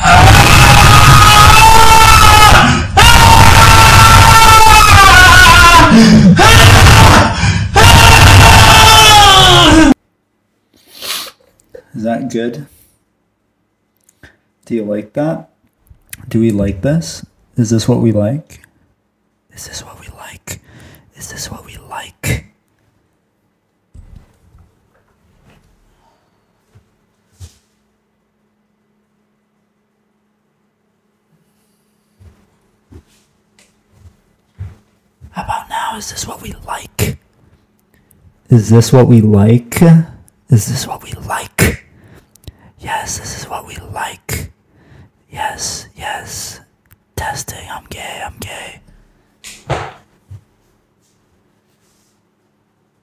Is that good? Do you like that? Do we like this? Is this what we like? Is this what we like? Is this what we like? about now? Is this what we like? Is this what we like? Is this what we like? Yes, this is what we like. Yes, yes. Testing, I'm gay, I'm gay.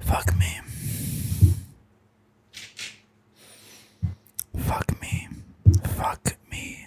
Fuck me. Fuck me. Fuck me.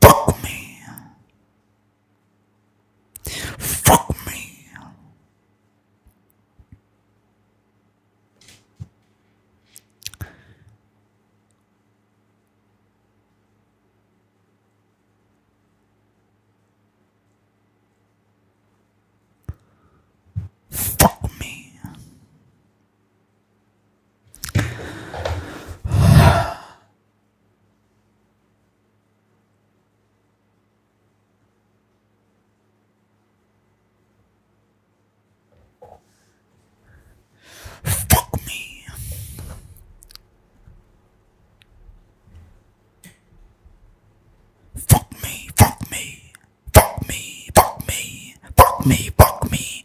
Fuck me. Fuck me. Fuck me. Fuck me. Fuck me, fuck me, fuck me, fuck me, fuck me,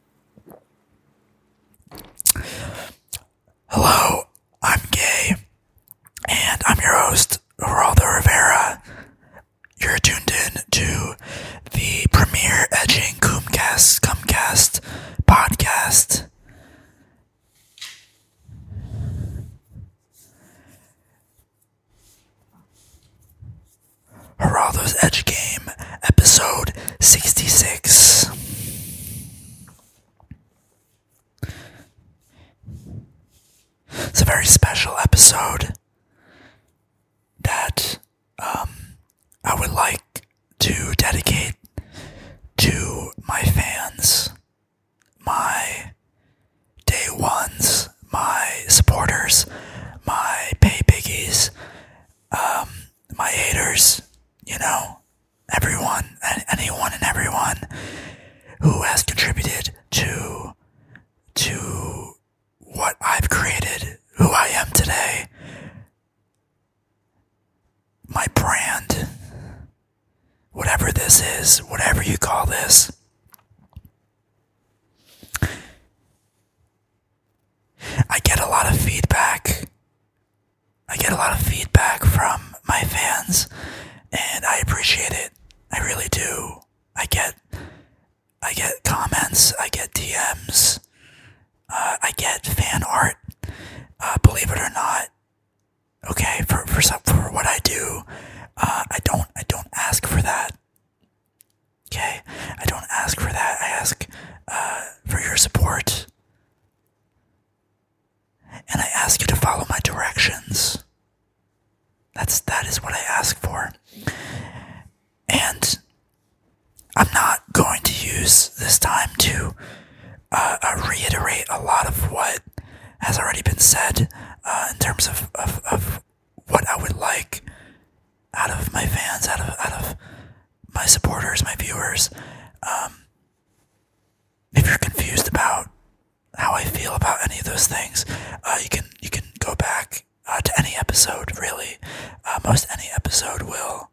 Hello, I'm Gay, and I'm your host, Geraldo Rivera. You're tuned in to the premier Edging Cumcast, podcast. Geraldo's Edge Game, episode 66. It's a very special episode that um, I would like to dedicate to my fans, my day ones, my supporters, my pay piggies, um, my haters, you know, everyone, and anyone and everyone who has contributed to to what I've created, who I am today, my brand, whatever this is, whatever you call this. I get a lot of feedback. I get a lot of feedback from my fans, and I appreciate it. I really do. I get, I get comments. I get DMs. Uh, I get fan art. Uh, believe it or not, okay. For for some, for what I do, uh, I don't I don't ask for that. Okay, I don't ask for that. I ask uh, for your support. And I ask you to follow my directions. That's that is what I ask for. And I'm not going to use this time to uh, uh, reiterate a lot of what has already been said in terms of, of what I would like out of my fans, out of out of my supporters, my viewers. Um, if you're confused about how I feel about any of those things, uh, you can you can go back uh, to any episode. Really, uh, most any episode will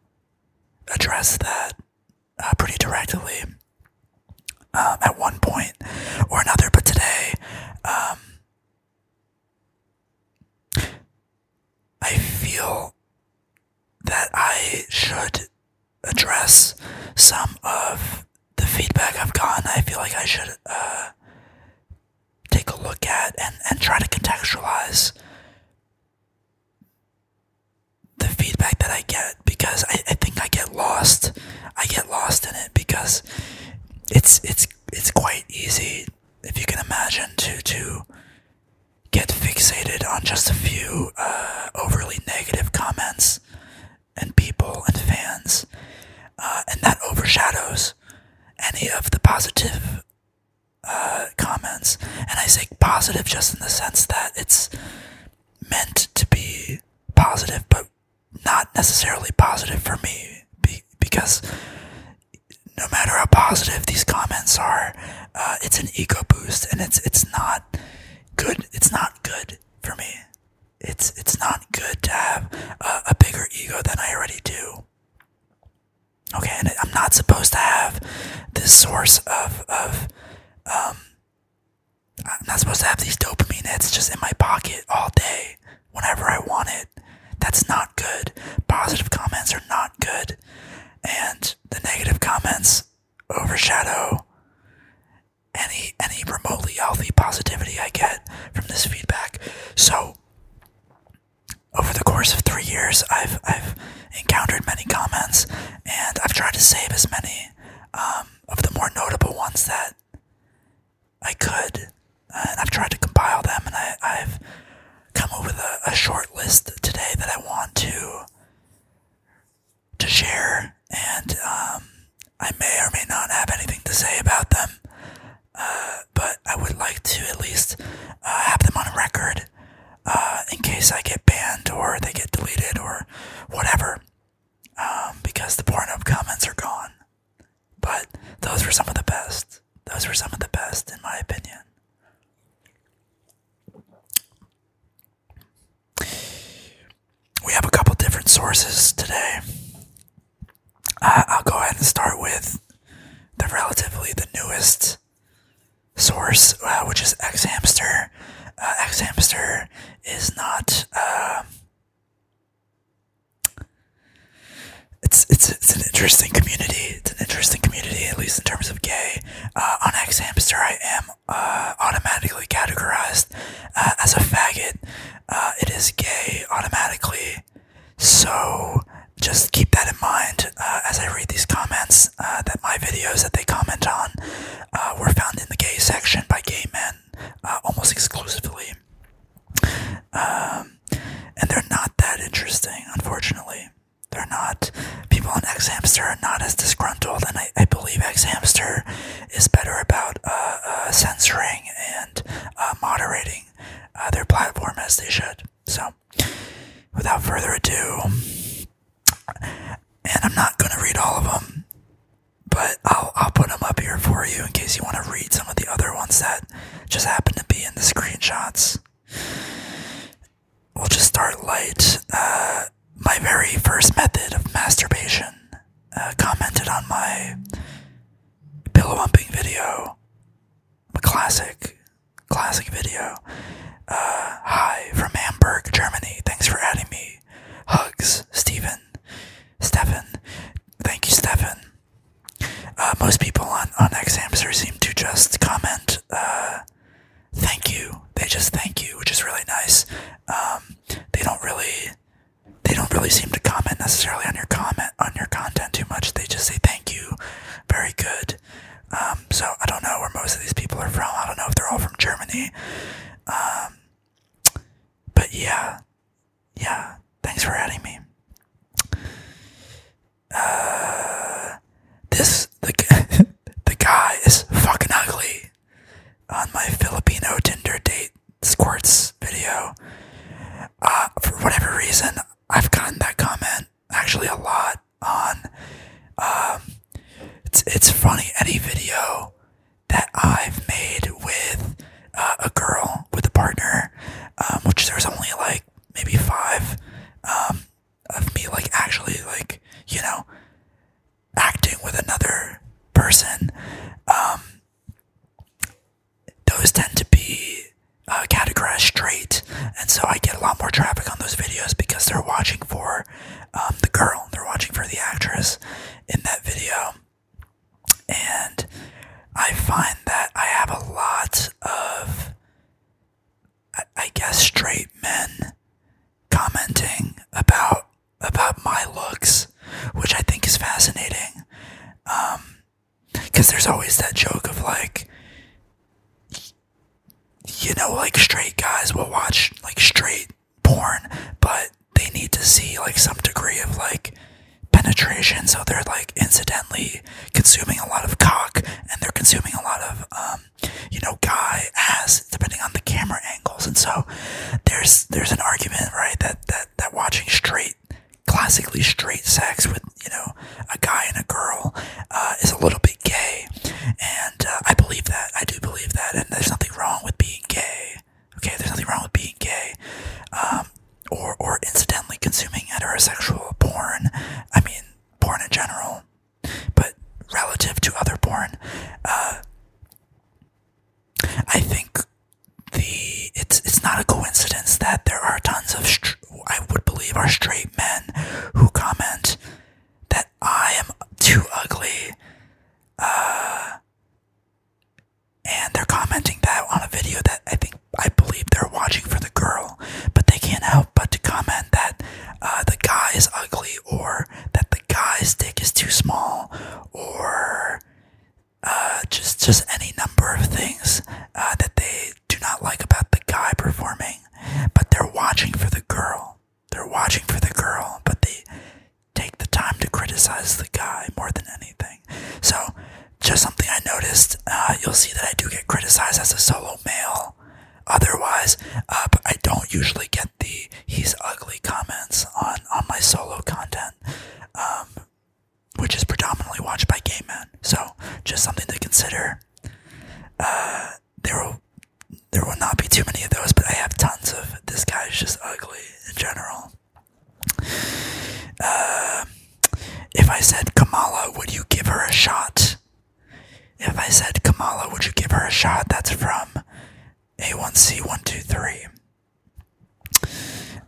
address that pretty directly um, at one point or another. But today, um, I feel that I should address some of the feedback I've gotten. I feel like I should uh, take a look at and, and try to contextualize the feedback that I get because I, I think I get lost. I get lost in it because it's it's it's quite easy if you can imagine, to to get fixated on just a few uh, overly negative comments and people and fans, uh, and that overshadows any of the positive uh, comments. And I say positive just in the sense that it's meant to be positive, but not necessarily positive for me because no matter how positive these comments are, uh, it's an ego boost, and it's it's not good. It's not good for me. It's it's not good to have a, bigger ego than I already do. Okay, and I'm not supposed to have this source of of um, I'm not supposed to have these dopamine hits just in my pocket all day whenever I want it. That's not good. Positive comments are not good. And the negative comments overshadow any any remotely healthy positivity I get from this feedback. So over the course of three years, I've I've encountered many comments, and I've tried to save as many um, of the more notable ones that I could and uh, I've tried to compile them, and I, have come up with a, short list today that I want to to share, and um, I may or may not have anything to say about them, uh, but I would like to at least uh, have them on record in case I get banned or they get deleted or whatever, um, because the Pornhub comments are gone. But those were some of the best. Those were some of the best, in my opinion. We have a couple different sources today. I'll go ahead and start with the relatively the newest source, uh, which is Xhamster. Uh, Xhamster is not uh, it's it's it's an interesting community. It's an interesting community, at least in terms of gay. Uh, on Xhamster, I am uh, automatically categorized uh, as a faggot. it is gay automatically, so just keep that in mind as I read these comments. that my videos that they comment on were found in the gay section by gay men, almost exclusively. Um, and they're not that interesting, unfortunately. They're not. People on X Hamster are not as disgruntled, and I, believe X Hamster is better about uh, uh, censoring and uh, moderating their platform as they should. So, without further ado, and I'm not going to read all of them, but I'll, I'll put them up here for you in case you want to read some of the other ones that just happen to be in the screenshots. We'll just start light. Uh, my very first method of masturbation uh, commented on my pillow humping video, classic, classic video. Uh, hi from Hamburg, Germany. Thanks for adding me. Hugs, Stephen. Stefan. Thank you, Stefan. Uh, most people on, on X seem to just comment, uh, thank you. They just thank you, which is really nice. Um, they don't really, they don't really seem to comment necessarily on your comment, on your content too much. They just say thank you. Very good. Um, so I don't know where most of these people are from. I don't know if they're all from Germany. Um, but yeah, yeah. Thanks for adding me uh, this the the guy is fucking ugly on my Filipino Tinder date squirts video. Uh, for whatever reason, I've gotten that comment actually a lot on. Um, it's it's funny any video that I've made with uh, a girl with a partner, um, which there's only like maybe five um, of me like actually like you know acting with another person um, those tend to be uh, categorized straight and so i get a lot more traffic on those videos because they're watching for um, the girl they're watching for the actress in that video and i find that i have a lot of I, guess straight men commenting about about my looks, which I think is fascinating. because um, there's always that joke of like, you know, like straight guys will watch like straight porn, but they need to see like some degree of like penetration, so they're like incidentally consuming a lot of cock and they're consuming a lot of, um, you know, guy ass, depending on the camera angles. And so there's, there's an argument, right, that, that, that watching straight, classically straight sex with, you know, a guy and a girl uh, is a little bit gay. And uh, I believe that. I do believe that. And there's nothing wrong with being gay. Okay, there's nothing wrong with being gay. Um, or or incidentally consuming heterosexual porn. I mean, porn in general, but relative to other porn, uh, I think the it's it's not a coincidence that there are tons of I would believe are straight men who comment that I am too ugly. Uh, and they're commenting that on a video that I think I believe they're watching for the girl, but they can't help but to comment that uh, the guy is ugly, or that the guy's dick is too small, or uh, just just any number of things uh, that they do not like about the guy performing. But they're watching for the girl. They're watching for the girl, but they take the time to criticize the guy more than anything. So just something I noticed. Uh, you'll see that I do get criticized as a solo male. Otherwise, uh, I don't usually get the "he's ugly" comments on on my solo content, um, which is predominantly watched by gay men. So, just something to consider. Uh, there will there will not be too many of those, but I have tons of. This guy is just ugly in general. If I said, Kamala, would you give her a shot? If I said, Kamala, would you give her a shot? That's from A1C123.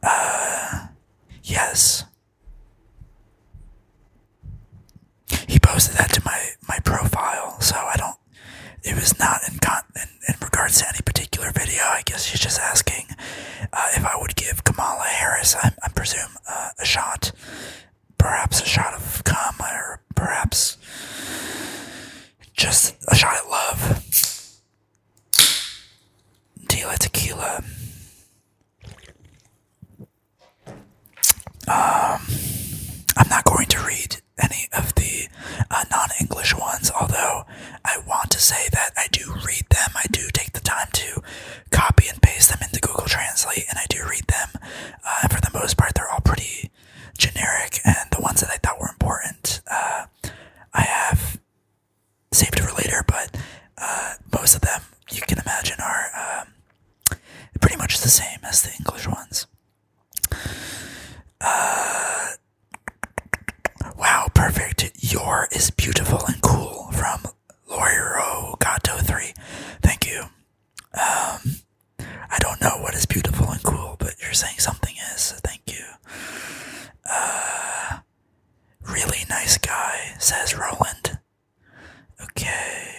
Uh, yes. He posted that to my, my profile, so I don't. It was not in, in, in regards to any particular video. I guess he's just asking uh, if I would give Kamala Harris, I presume, a shot, perhaps a shot of cum, or perhaps just a shot of love. Tila tequila. Um, I'm not going to read any of the uh, non English ones, although I want to say that I do read them. I do take the time to copy and paste them into Google Translate, and I do read them. Uh, and for the most part, they're all pretty generic, and the ones that I thought were important, uh, I have saved for later, but uh, most of them, you can imagine, are um, pretty much the same as the English ones. wow, perfect. Your is beautiful and cool from Lawyer Gato 3. Thank you. Um, I don't know what is beautiful and cool, but you're saying something is, thank you. Uh, really nice guy, says Roland. Okay.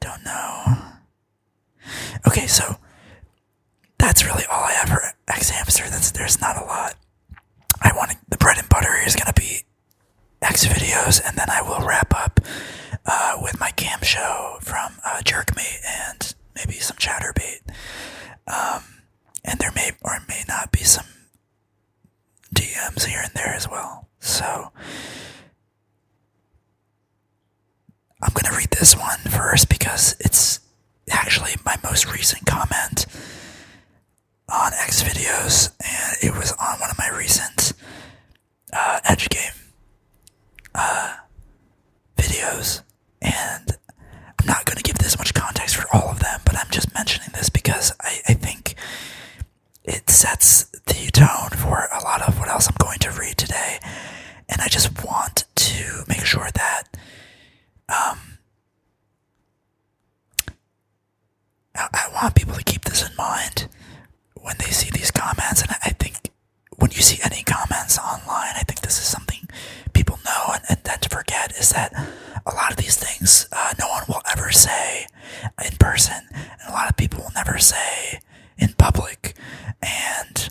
Don't know. Okay, so that's really all I have for X Hamster. That's, there's not a lot. I want the bread and butter is going to be X videos, and then I will wrap up uh, with my cam show from uh, Jerk Me and maybe some Chatterbait. Um, and there may or may not be some DMs here and there as well. So I'm going to read this one first because it's actually my most recent comment on X videos, and it was on one of my recent uh, Edge game uh, videos. And I'm not going to give this much context for all of them, but I'm just mentioning this because I, I think it sets the tone for a lot of what else I'm going to read today. And I just want to make sure that um, I want people to keep this in mind when they see these comments. And I think when you see any comments online, I think this is something people know and, tend to forget is that a lot of these things uh, no one will ever say in person, and a lot of people will never say in public. And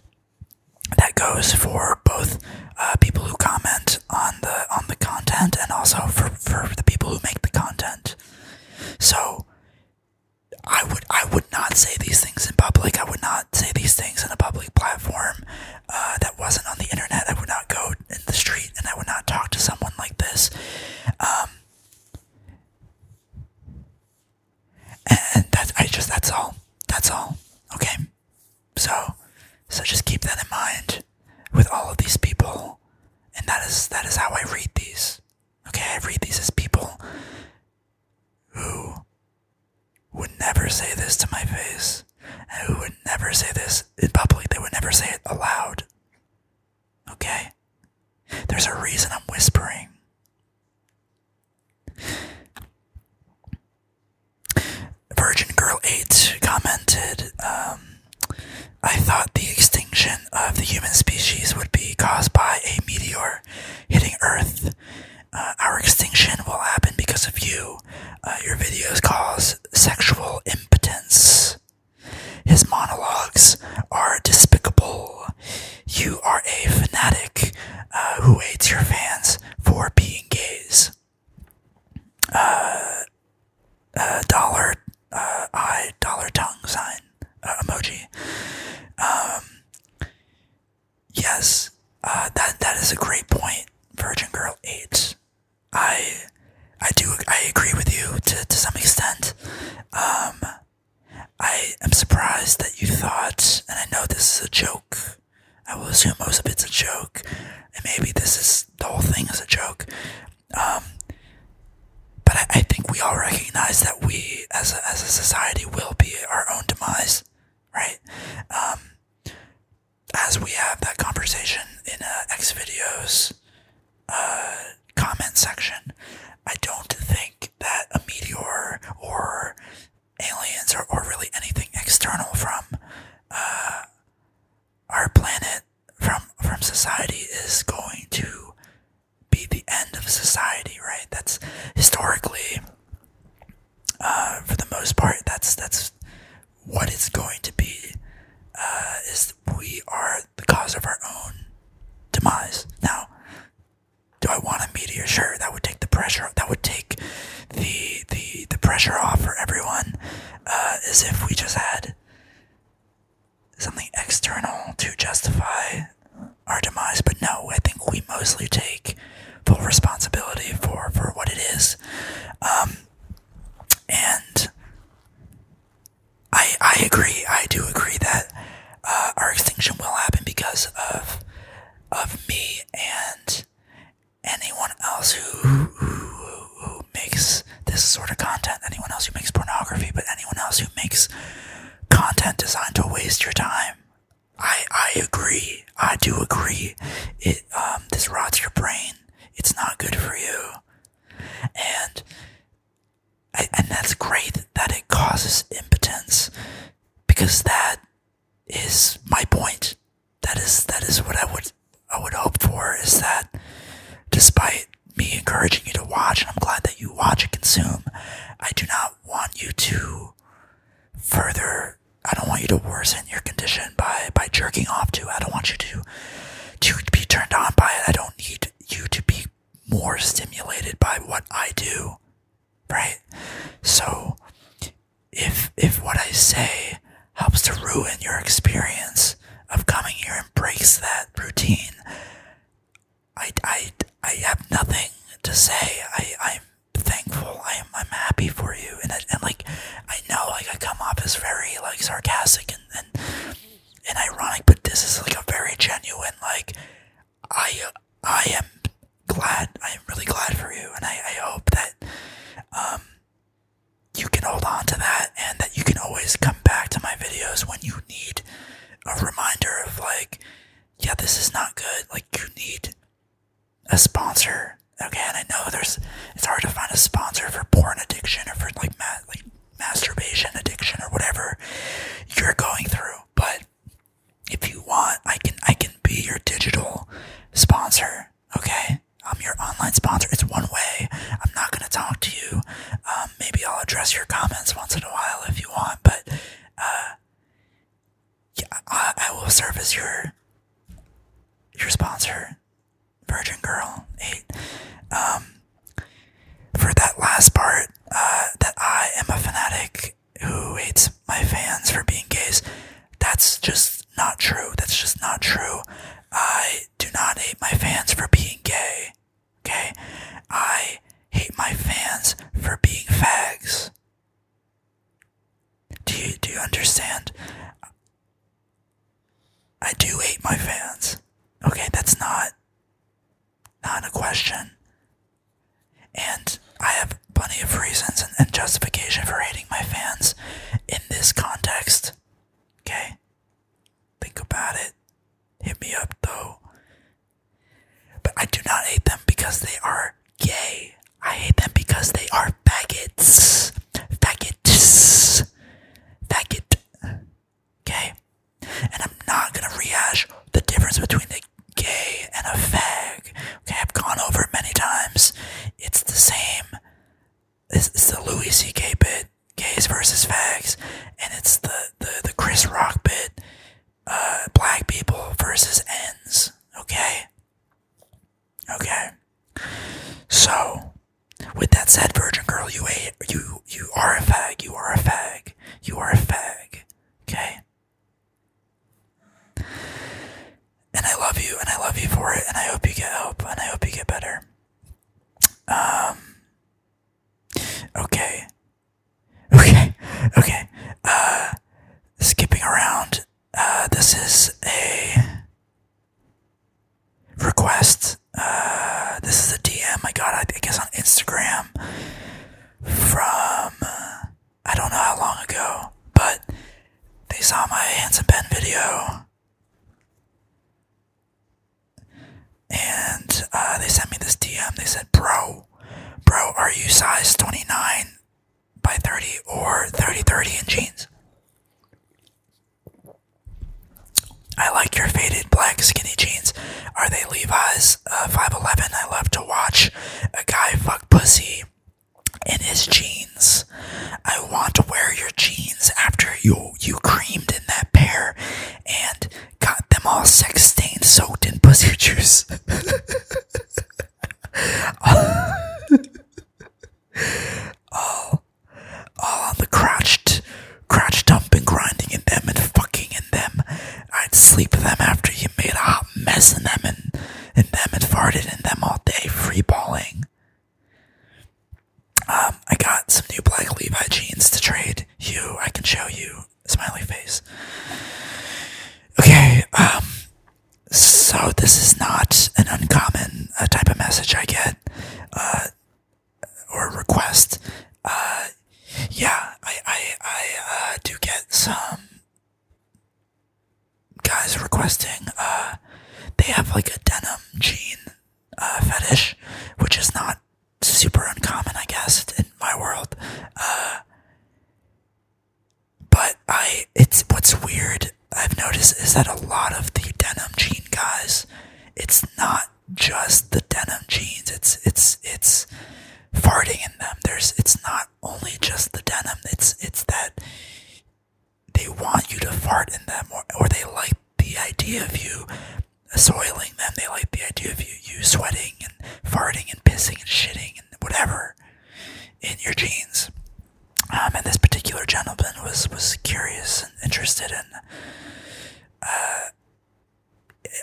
that goes for both uh, people who comment on the on the content and also for the people who make the content. So I would I would not say these things in public. I would not say these things in a public platform uh, that wasn't on the internet. I would not go in the street and I would not talk to someone like this. Um, and that's I just that's all. That's all. Okay. So so just keep that in mind with all of these people, and that is that is how I read these. Okay, I read these as people who would never say this to my face, and who would never say this in public. They would never say it aloud. Okay, there's a reason I'm whispering. Virgin Girl Eight commented. Um, I thought the extinction of the human species would be caused by a meteor hitting Earth. Uh, our extinction will happen because of you. Uh, your videos cause sexual impotence. His monologues are despicable. You are a fanatic uh, who hates your fans for being gays. Uh, dollar uh, eye, dollar tongue sign uh, emoji. Um, yes, that that is a great point, Virgin Girl Eight. I I do I agree with you to to some extent. Um, I am surprised that you thought, and I know this is a joke. I will assume most of it's a joke, and maybe this is the whole thing is a joke. Um, but I, think we all recognize that we, as a, as a society, will be our own demise, right? Um, as we have that conversation in uh, X videos uh, comment section, I don't think that a meteor or aliens or, or really anything external from uh, our planet from from society is going to be the end of society, right? That's historically, uh, for the most part, that's that's what it's going to be. Uh, is we are the cause of our own demise. Now, do I want a media? Sure, that would take the pressure. That would take the the the pressure off for everyone. Uh, is if we just had something external to justify our demise. But no, I think we mostly take full responsibility for, for what it is. Um, and I, I agree. I do agree that uh, our extinction will happen because of of me and anyone else who who makes this sort of content, anyone else who makes pornography, but anyone else who makes content designed to waste your time. I I agree. I do agree. It um, this rots your brain. It's not good for you. And and that's great that it causes impotence because that is my point. That is that is what I would I would hope for is that despite me encouraging you to watch, and I'm glad that you watch and consume, I do not want you to further I don't want you to worsen your condition by, by jerking off to. I don't want you to to be turned on by it. I don't need you to be more stimulated by what I do. Right? So if if what I say helps to ruin your experience, of coming here and breaks that routine. I, I, I have nothing to say. I, I'm thankful. I'm, I'm happy for you. And, I, and like, I know like I come off as very like sarcastic and, and, ironic, but this is like a very genuine, like I, I am glad. I am really glad for you. And I, I hope that, um, you can hold on to that and that you can always come back to my videos when you need a reminder of like yeah this is not good like you need a sponsor okay and i know there's it's hard to find a sponsor for porn addiction or for like like masturbation addiction or whatever you're going through but if you want i can i can be your digital sponsor okay i'm your online sponsor it's one way i'm not going to talk to you um, um, maybe I'll address your comments once in a while if you want, but uh, I, will serve as your your sponsor, Virgin Girl Eight. Um, for that last part, uh, that I am a fanatic who hates my fans for being gays. That's just not true. That's just not true. I do not hate my fans for being gay. Okay? I hate my fans for being fags. Do you do you understand? I do hate my fans. Okay, that's not not a question. And I have plenty of reasons and, and justification for hating my fans in this context. Okay? Think about it. Hit me up though. But I do not hate them because they are gay. I hate them because they are faggots. Faggots. Faggot. Okay? And I'm not gonna rehash the difference between the gay and a fag. Okay, I've gone over it many times. It's the same it's, it's the Louis C.K. bit, gays versus fags, and it's the, the, the Chris Rock bit, uh, black people versus ends. Okay? Okay. So, with that said, Virgin Girl, you, a, you, you are a fag, you are a fag, you are a fag. Okay? and I love you, and I love you for it, and I hope you get help, and I hope you get better. Um, Okay. Okay. Okay. Uh skipping around. Uh this is a request. Uh this is a DM I got I guess on Instagram from I don't know how long ago, but they saw my handsome pen video and uh, they sent me this DM. They said, "Bro, bro, are you size 29 by 30 or 30 30 in jeans?" I like your faded black skinny jeans. Are they Levi's? 5'11. Uh, I love to watch a guy fuck pussy in his jeans. I want to wear your jeans after you you creamed in that pair and got them all sex stained, soaked in pussy juice. all, all on the crouched, crouch dumping, grinding in them and fucking in them. I'd sleep with them after you made a mess in them and in them and farted in them all day, free balling. Um, I got some new black Levi jeans to trade you. I can show you. Smiley face. Okay, um, so this is not an uncommon uh, type of message I get, uh, or request. Uh, yeah, I, I, I, do get some guys requesting, they have like a denim jean, fetish, which is not super uncommon, I guess, in my world. Uh, but I, it's what's weird. I've noticed is that a lot of the denim jean guys, it's not just the denim jeans. It's it's it's farting in them. There's it's not only just the denim. It's it's that they want you to fart in them, or or they like the idea of you soiling them. They like the idea of you, you sweating and farting and pissing and shitting and whatever in your jeans. Um, and this particular gentleman was, was curious and interested in, uh,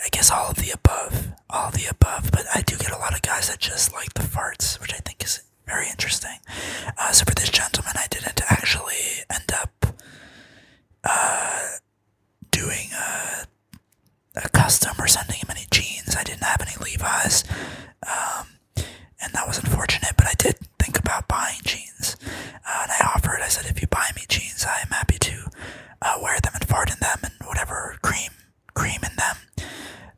I guess, all of the above. All the above. But I do get a lot of guys that just like the farts, which I think is very interesting. Uh, so for this gentleman, I didn't actually end up uh, doing uh, a, custom or sending him any jeans. I didn't have any Levi's, um, and that was unfortunate. But I did think about buying jeans, uh, and I offered. I said, "If you buy me jeans, I am happy to wear them and fart in them and whatever cream cream in them."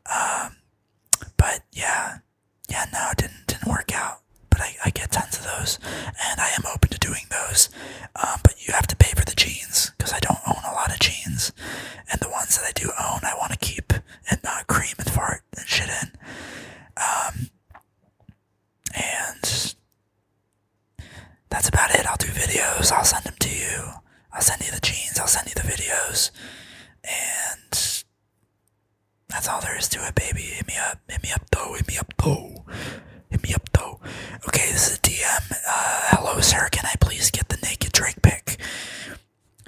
Um, but yeah, yeah, no, it didn't didn't work out but I, get tons of those, and I am open to doing those. Um, but you have to pay for the jeans because I don't own a lot of jeans, and the ones that I do own, I want to keep and not cream and fart and shit in. Um, and that's about it. I'll do videos. I'll send them to you. I'll send you the jeans. I'll send you the videos. And that's all there is to it, baby. Hit me up. Hit me up, though. Hit me up, though. Hit me up though. Okay, this is a DM. Uh, hello, sir. Can I please get the naked Drake pic?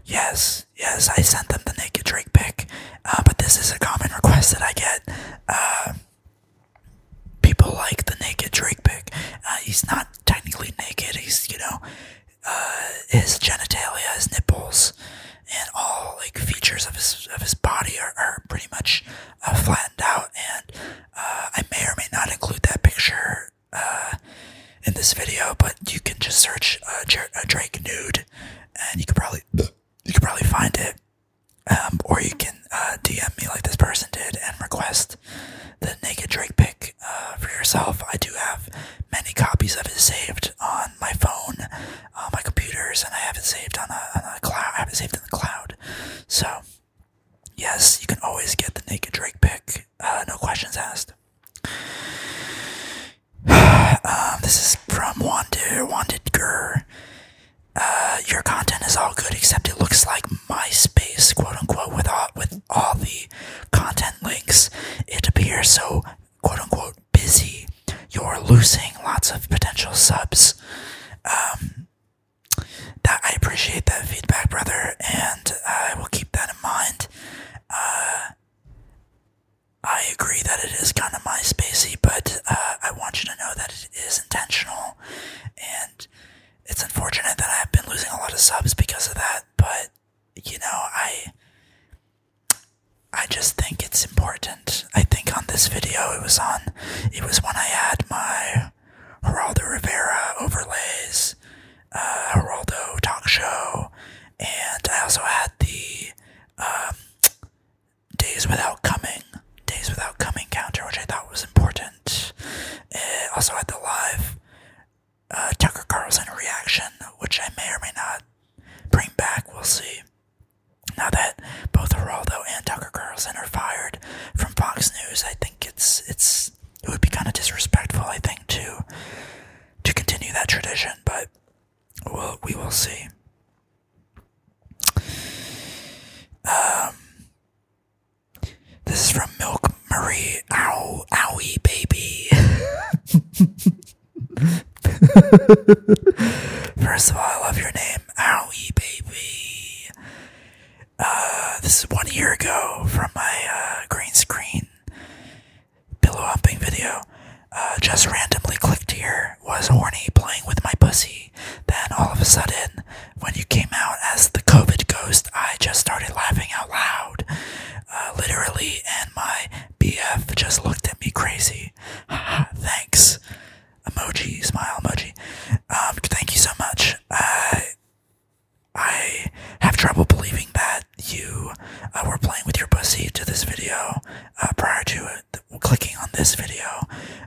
Yes, yes, I sent them the naked Drake pic. Uh, but this is a common request that I get. Uh, people like the naked Drake pic. he's not technically naked. He's you know, his genitalia, his nipples, and all like features of his of his body are pretty much uh, flattened out, and uh, I may or may not include that picture uh, in this video, but you can just search uh, Drake nude, and you can probably you could probably find it, um, or you can DM me like this person did and request the naked Drake pic for yourself. I do have many copies of it saved on my phone uh, my computers, and I have not saved on a, cloud. I have it saved in the cloud. So, yes, you can always get the naked Drake pic. Uh, no questions asked. Um, this is from Wanted Wanted Gur. Uh, your content is all good, except it looks like MySpace, quote unquote, with all the content links. It appears so, quote unquote, busy you're losing lots of potential subs. Um, that I appreciate that feedback, brother, and I will keep that in mind. Uh, I agree that it is kind of my spacey, but uh, I want you to know that it is intentional, and it's unfortunate that I have been losing a lot of subs because of that. But you know, I I just think it's important comment, I think, on this video. It was on, it was when I had my Geraldo Rivera overlays, uh, Geraldo talk show, and I also had the um, Days Without Coming, Days Without Coming counter, which I thought was important. It also had the live uh, Tucker Carlson reaction, which I may or may not bring back. We'll see. Now that both Geraldo and Tucker Carlson are fired from Fox News, I think it's it's it would be kind of disrespectful, I think, to to continue that tradition. But we'll, we will see. Um, this is from Milk Marie. Ow, owie, baby. First of all, I love your name, Owie Baby. Uh, this is one year ago from my uh, green screen pillow humping video. Uh, just randomly clicked here, was horny playing with my pussy. Then all of a sudden, when you came out as the COVID ghost, I just started laughing out loud. literally, and my BF just looked at me crazy. Thanks emoji, smile emoji. Um, thank you so much. Uh, I have trouble believing that you uh, were playing with your pussy to this video uh, prior to clicking on this video.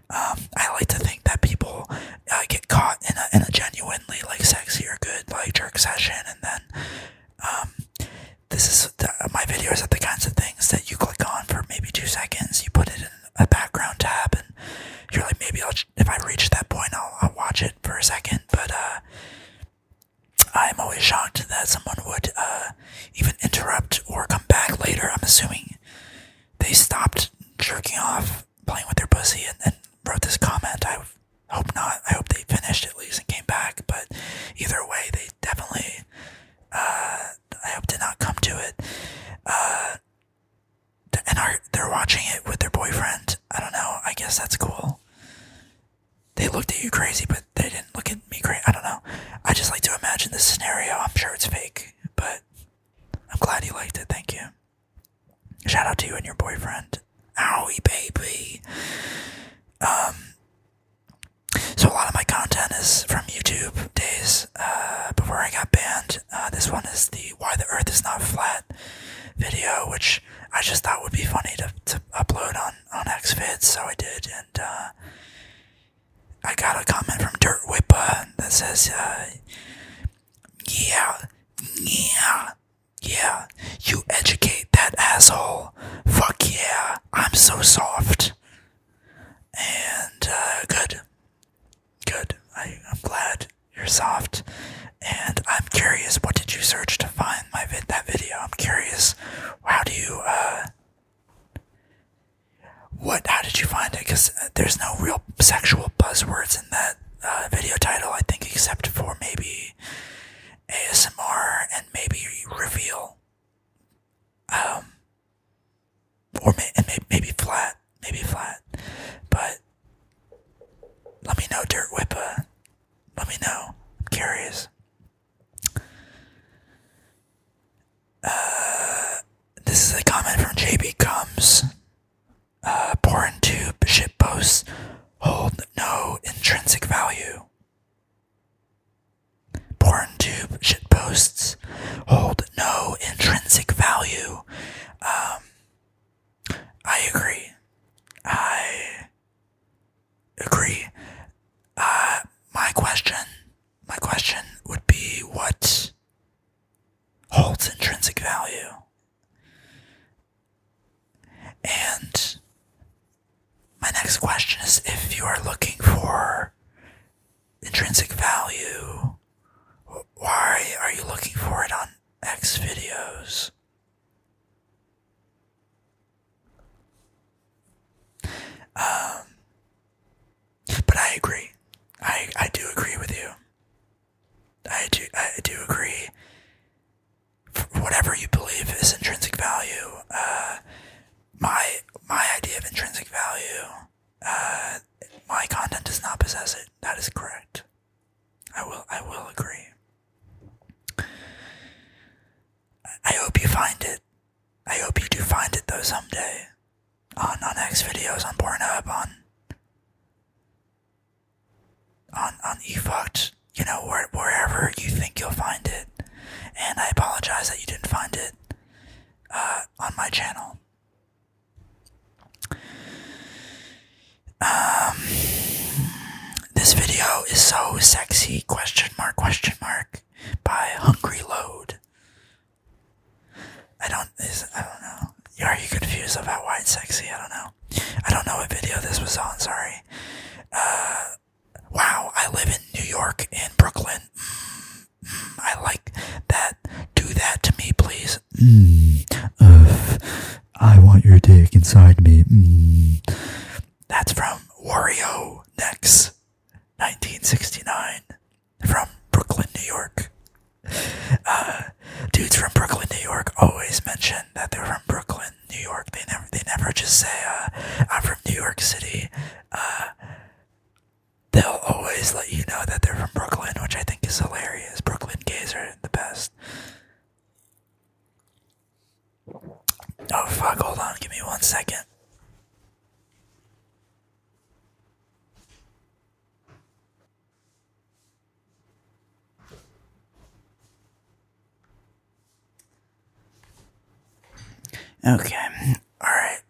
Um, I like to think that people uh, get caught in a, in a genuinely like sexy or good like jerk session, and then um, this is the, my videos are the kinds of things that you click on for maybe two seconds, you put it in a background tab, and you're like, maybe i if I reach that point, I'll, watch it for a second. But uh, I'm always shocked that someone would uh, even interrupt or come back later. I'm assuming they stopped jerking off, playing with their pussy, and, wrote this comment. I hope not. I hope they finished at least and came back. But either way, they definitely uh, I hope did not come to it. Uh, and are they're watching it with their boyfriend. I don't know. I guess that's cool. They looked at you crazy, but they didn't look at me crazy. I don't know. I just like to imagine this scenario. I'm sure it's fake, but I'm glad you liked it. Thank you. Shout out to you and your boyfriend. Owie, baby. Um, so a lot of my content is from YouTube days uh, before I got banned. Uh, this one is the "Why the Earth Is Not Flat" video, which I just thought would be funny to, to upload on on Xvid, so I did, and uh, I got a comment from Dirt Whippa that says, "Yeah, yeah." Yeah, you educate that asshole. Fuck yeah, I'm so soft. And uh, good. Good. I, am glad you're soft. And I'm curious, what did you search to find that video? I'm curious, how do you, uh, what, how did you find it? Because uh, there's no real sexual buzzwords in that uh, video title, I think, except for maybe ASMR and maybe reveal. Um, or maybe flat, maybe flat. But let me know, Dirt Whippa. Let me know. I'm curious. Uh, this is a comment from JB Comes. Uh, porn shit posts hold no intrinsic value. Porn PornTube shitposts hold no intrinsic value. Um, I agree. I agree. Uh, my question, my question would be what holds intrinsic value? And my next question is if you are looking for intrinsic value. Why are you looking for it on X videos? Um, but I agree. I, I do agree with you. I do, I do agree. Whatever you believe is intrinsic value, uh, my, my idea of intrinsic value uh, my content does not possess it. That is correct. I will. I will agree. I hope you find it. I hope you do find it though someday. On on X videos, on Pornhub, on on on Fuck, you know, where, wherever you think you'll find it. And I apologize that you didn't find it uh, on my channel. Um, this video is so sexy, question mark, question mark, by Hungry Load. I don't, I don't know. Are you confused about why it's sexy? I don't know. I don't know what video this was on, sorry. Uh, wow, I live in New York, in Brooklyn. Mm, I like that. Do that to me, please. Mm, I want your dick inside me. Mm. That's from Wario Next, 1969, from Brooklyn, New York. Uh, dudes from Brooklyn, New York, always mention that they're from Brooklyn, New York. They never, they never just say, uh, "I'm from New York City." Uh, they'll always let you know that they're from Brooklyn, which I think is hilarious. Brooklyn gays are the best. Oh fuck, hold on, give me one second. Okay, alright.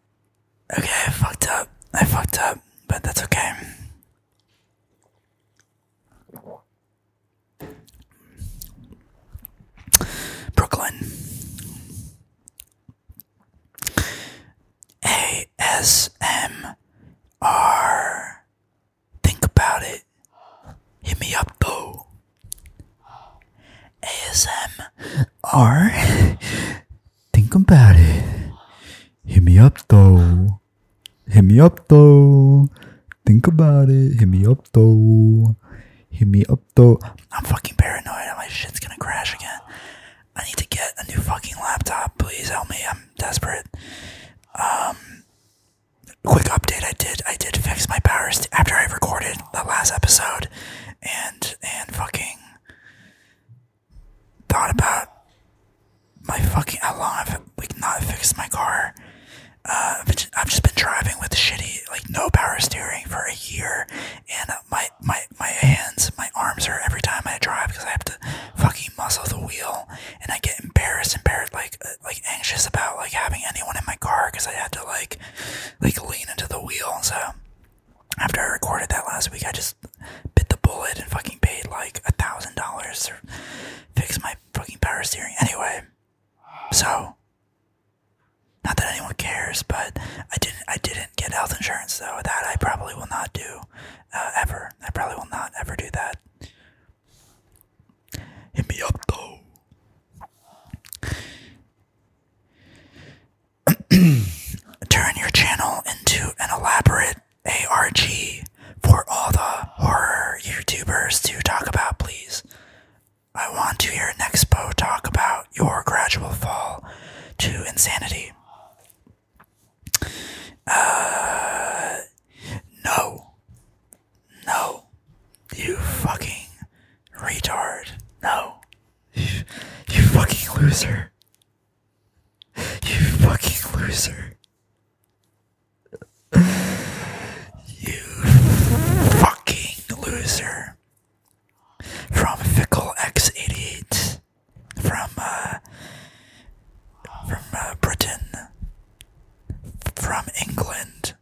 Okay, I fucked up. I fucked up, but that's okay. Brooklyn. ASMR. Think about it. Hit me up, though. ASMR. Think about it. Hit me up though. Hit me up though. Think about it. Hit me up though. Hit me up though. I'm fucking paranoid. My shit's gonna crash again. I need to get a new fucking laptop. Please help me. I'm desperate. Um, quick update. I did. I did fix my power after I recorded the last episode, and and fucking thought about my fucking how long I've like not fixed my car. Uh, I've just been driving with shitty, like no power steering for a year, and my my my hands, my arms are every time I drive because I have to fucking muscle the wheel, and I get embarrassed, embarrassed, like uh, like anxious about like having anyone in my car because I had to like like lean into the wheel. So after I recorded that last week, I just bit the bullet and fucking paid like a thousand dollars to fix my fucking power steering. Anyway, so not that anyone cares, but I didn't. I didn't get health insurance though. That I probably will not do uh, ever. I probably will not ever do that. Hit me up though. turn your channel into an elaborate ARG for all the horror YouTubers to talk about, please. I want to hear Nexpo talk about your gradual fall to insanity. Uh, no. No. You fucking retard. No. You, you fucking loser. You fucking loser. You fucking loser. From Fickle X88. From, uh, from uh, Britain. From England.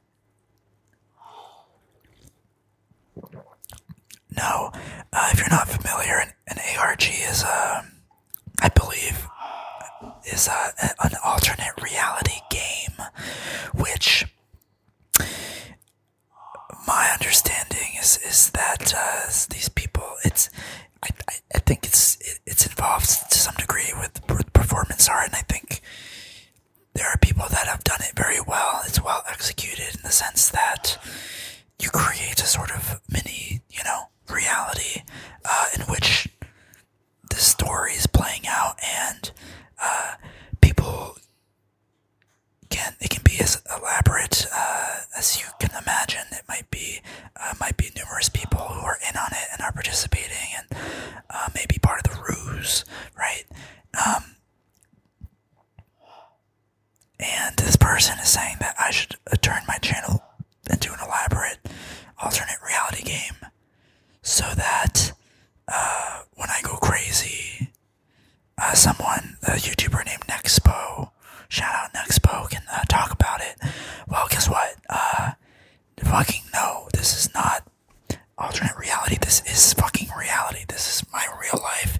No, uh, if you're not familiar, an, ARG is a, um, I believe, is a, uh, an alternate reality game, which my understanding is is that uh, these people, it's, I, I, think it's it's involved to some degree with performance art, and I think there are people that have done it very well. It's well executed in the sense that you create a sort of mini, you know, reality uh, in which the story is playing out, and uh, people can it can be as elaborate uh, as you can imagine. It might be might be numerous people who are in on it and are participating, and maybe part of the ruse, right? Um, and this person is saying that I should uh, turn my channel into an elaborate alternate reality game so that uh, when I go crazy, uh, someone, a YouTuber named Nexpo, shout out Nexpo, can talk about it. Well, guess what? fucking no, this is not alternate reality. This is fucking reality. This is my real life.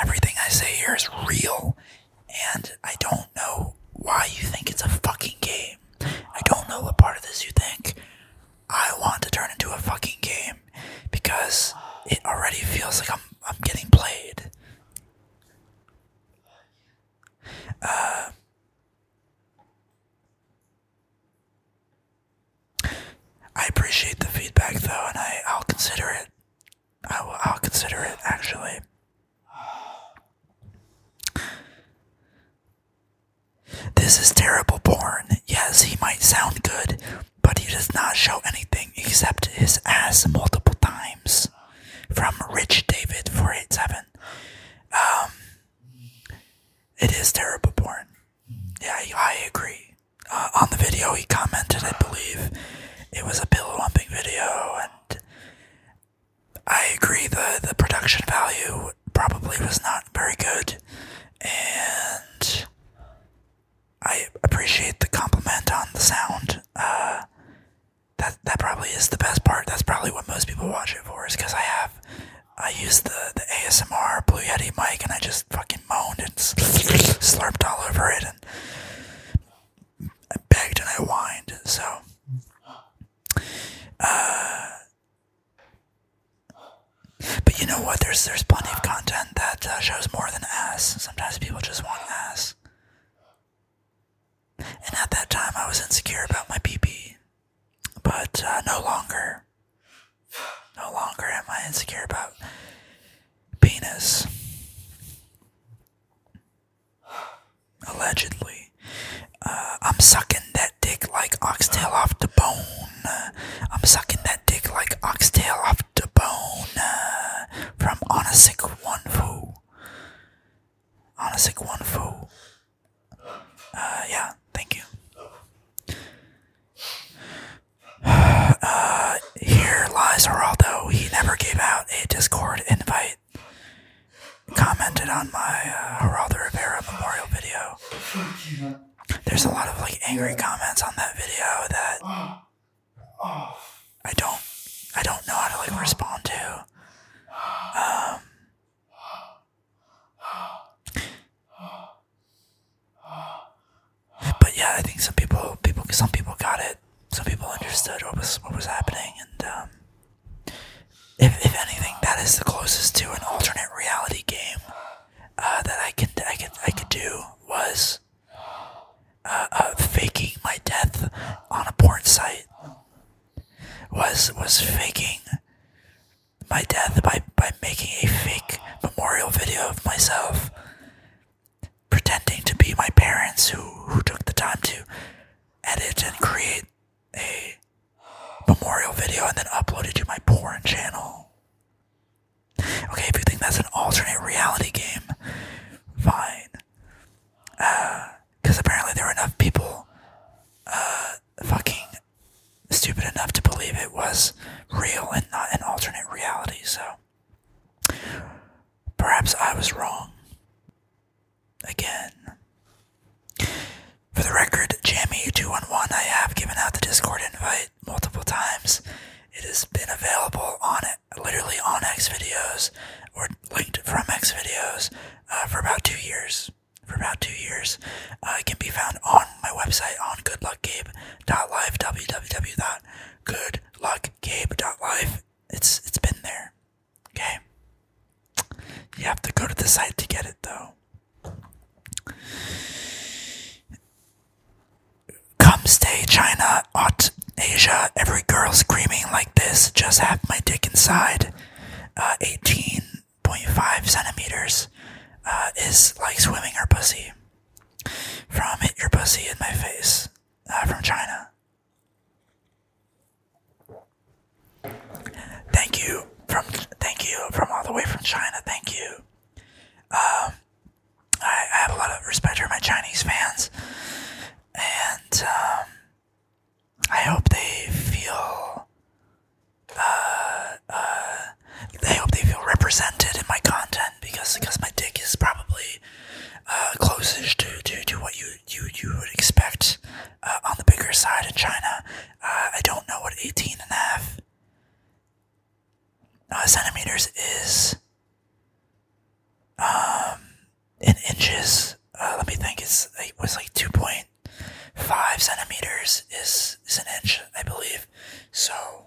Everything I say here is real. And I don't know why you think it's a fucking game. I don't know what part of this you think I want to turn into a fucking game because it already feels like I'm I'm getting played. Uh, I appreciate the feedback though, and I I'll consider it. I will, consider it actually. This is terrible porn. Yes, he might sound good, but he does not show anything except his ass multiple times. From Rich David 487. Um, it is terrible porn. Yeah, I agree. Uh, on the video he commented, I believe it was a pillow lumping video, and I agree the the production value probably was not very good, and I appreciate the compliment on the sound. Uh, that that probably is the best part. That's probably what most people watch it for, is because I have I use the the ASMR Blue Yeti mic, and I just fucking and moaned and slurped all over it and I begged and I whined. So, uh, but you know what? There's there's plenty of content that uh, shows more than ass. Sometimes people just want ass. And at that time, I was insecure about my PP, but uh, no longer. No longer am I insecure about penis. Allegedly. Uh, I'm sucking that dick like oxtail off the bone. I'm sucking that dick like oxtail off the bone. from Onasik One Foo. Onasik uh, yeah, thank you. here lies Geraldo. He never gave out a Discord invite. Commented on my uh, Rivera memorial video. There's a lot of like angry comments on that video that I don't, I don't know how to like respond to. Um, but yeah, I think some people, people, some people got it. Some people understood what was what was happening, and um, if if anything, that is the closest to an alternate reality game uh, that I could I could I could do was uh, uh, faking my death on a porn site. Was was faking my death by by making a fake memorial video of myself pretending to be my parents who, who took the time to edit and create a memorial video and then uploaded it to my porn channel. Okay, if you think that's an alternate reality game, fine. Because uh, apparently there were enough people uh, fucking stupid enough to believe it was real and not an alternate reality, so Perhaps I was wrong. Again. For the record, Jammy211, I have given out the Discord invite multiple times. It has been available on literally on X videos or linked from X videos uh, for about two years. For about two years, uh, it can be found on my website on goodluckgabe.live www.goodluck like Life. It's it's been there. Okay. You have to go to the site to get it though. Come stay China, Asia, every girl screaming like this, just have my dick inside. 18.5 uh, centimeters uh, is like swimming her pussy. From hit your pussy in my face uh, from China. Thank you from thank you from all the way from China. Thank you. Um, I, have a lot of respect for my Chinese fans, and um, I hope they feel. Uh, uh, I hope they feel represented in my content because because my dick is probably uh, closest to, to, to what you you you would expect uh, on the bigger side in China. Uh, I don't know what 18 and a half centimeters is um, in inches. let me think. It's it was like 2.5 centimeters is is an inch, I believe. So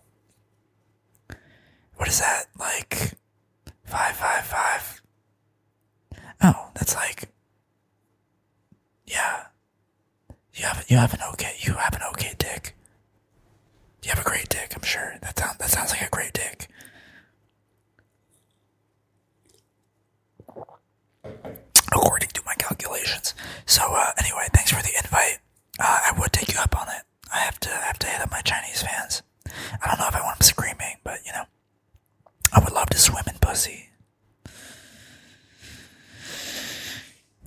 what is that like? Five, five, five. Oh, that's like, yeah. You have you have an okay you have an okay dick. You have a great dick, I'm sure. That sounds that sounds like a great dick. According to my calculations. So uh, anyway, thanks for the invite. Uh, I would take you up on it. I have to have to hit up my Chinese fans. I don't know if I want them screaming, but you know, I would love to swim in pussy.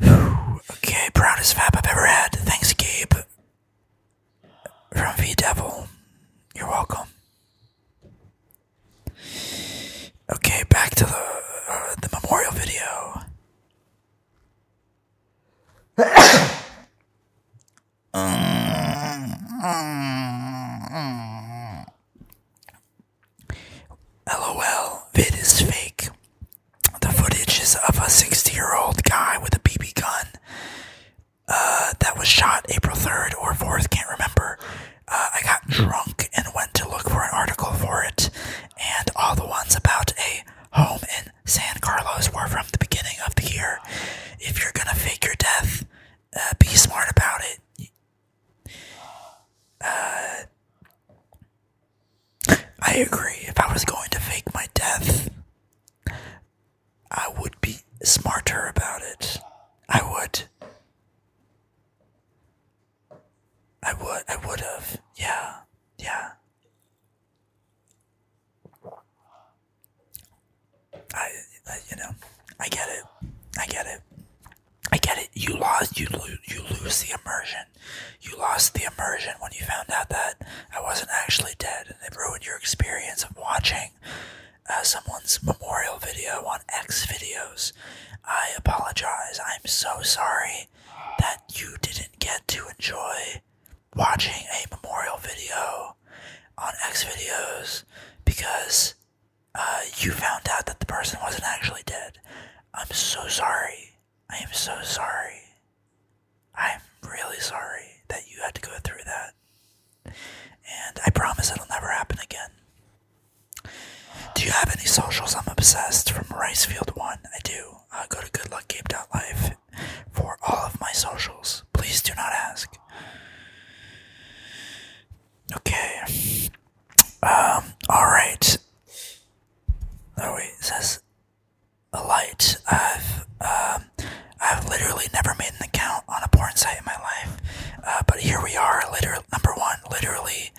okay, proudest fap I've ever had. Thanks, Gabe. From VDevil. You're welcome. Okay, back to the uh, the memorial video. LOL, vid is fake. The footage is of a 60 year old guy with a BB gun uh, that was shot April 3rd or 4th, can't remember. Uh, I got drunk and went to look for an article for it, and all the ones about a home in San Carlos were from the beginning of the year. If you're gonna fake your death, uh, be smart about it. Uh, I agree. If I was going to fake my death, I would be smarter about it. I would. I would. I would have. Yeah. Yeah. I, you know, I get it. I get it. I get it. You lost. You lose. You lose the immersion. You lost the immersion when you found out that I wasn't actually dead, and it ruined your experience of watching uh, someone's memorial video on X videos. I apologize. I'm so sorry that you didn't get to enjoy watching a memorial video on X videos because uh, you found out that the person wasn't actually dead. I'm so sorry. I am so sorry. I'm really sorry that you had to go through that. And I promise it'll never happen again. Do you have any socials? I'm obsessed. From Ricefield One, I do. Uh, go to goodluckcape.life for all of my socials. Please do not ask. Okay. Um, alright. Oh wait, says a light. I've um, I've literally never made an account on a porn site in my life, uh, but here we are. Literally, number one, literally,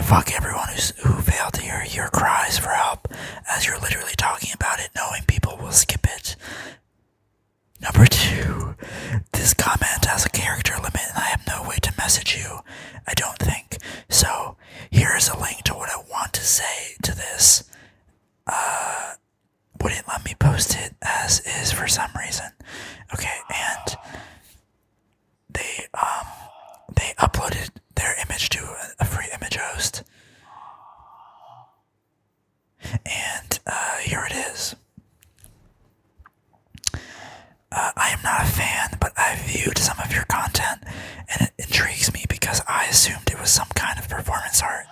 fuck everyone who's, who failed to hear your cries for help as you're literally talking about it, knowing people will skip it. Number two, this comment has a character limit and I have no way to message you, I don't think. So here is a link to what I want to say to this. Uh, wouldn't let me post it as is for some reason. Okay, and they um they uploaded their image to a free image host and uh, here it is. Uh, I am not a fan, but I viewed some of your content and it intrigues me because I assumed it was some kind of performance art.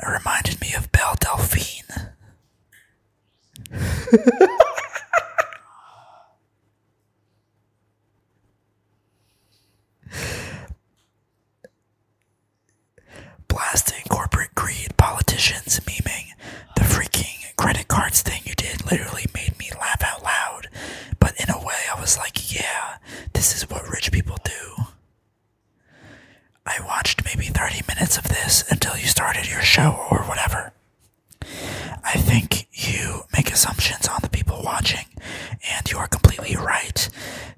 It reminded me of Belle Delphine. Blasting corporate greed, politicians, memeing. The freaking credit cards thing you did literally made me laugh out loud. But in a way, I was like, yeah, this is what rich people do. I watched maybe 30 minutes of this until you started your show or whatever. I think you make assumptions on the people watching, and you are completely right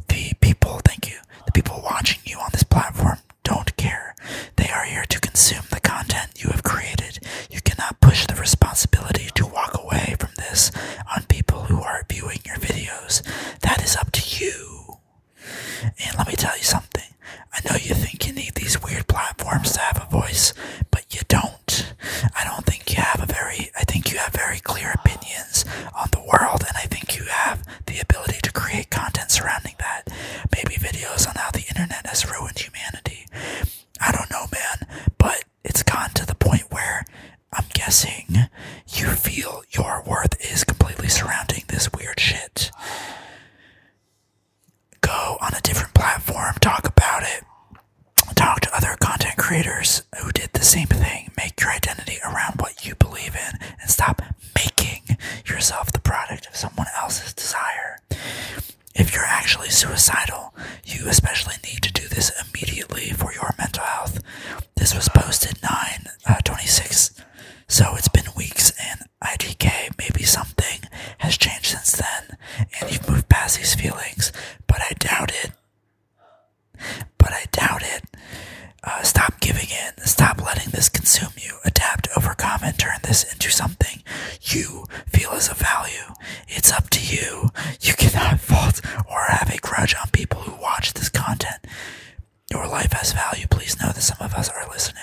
the people, thank you, the people watching you on this platform don't care. They are here to consume the content you have created. You cannot push the responsibility to walk away from this on people who are viewing your videos. That is up to you. And let me tell you something. I know you think you need these weird platforms to have a voice, but you don't. I don't think you have a very, I think you have very clear opinions on the world, and I think you have the ability to create content surrounding that. Maybe videos on how the internet has ruined humanity. I don't know, man, but it's gotten to the point where I'm guessing you feel your worth is completely surrounding this weird shit. Go on a different platform, talk about it, talk to other content creators who did the same thing. Make your identity around what you believe in and stop making yourself the product of someone else's desire. If you're actually suicidal, you especially need to do this immediately for your mental health. This was posted nine uh, twenty six, so it's been weeks, and IDK, maybe something has changed since then, and you've moved past these feelings, but I doubt it but I doubt it. Uh, stop giving in. Stop letting this consume you. Adapt, overcome, and turn this into something you feel is a value. It's up to you. You cannot fault or have a grudge on people who watch this content. Your life has value. Please know that some of us are listening.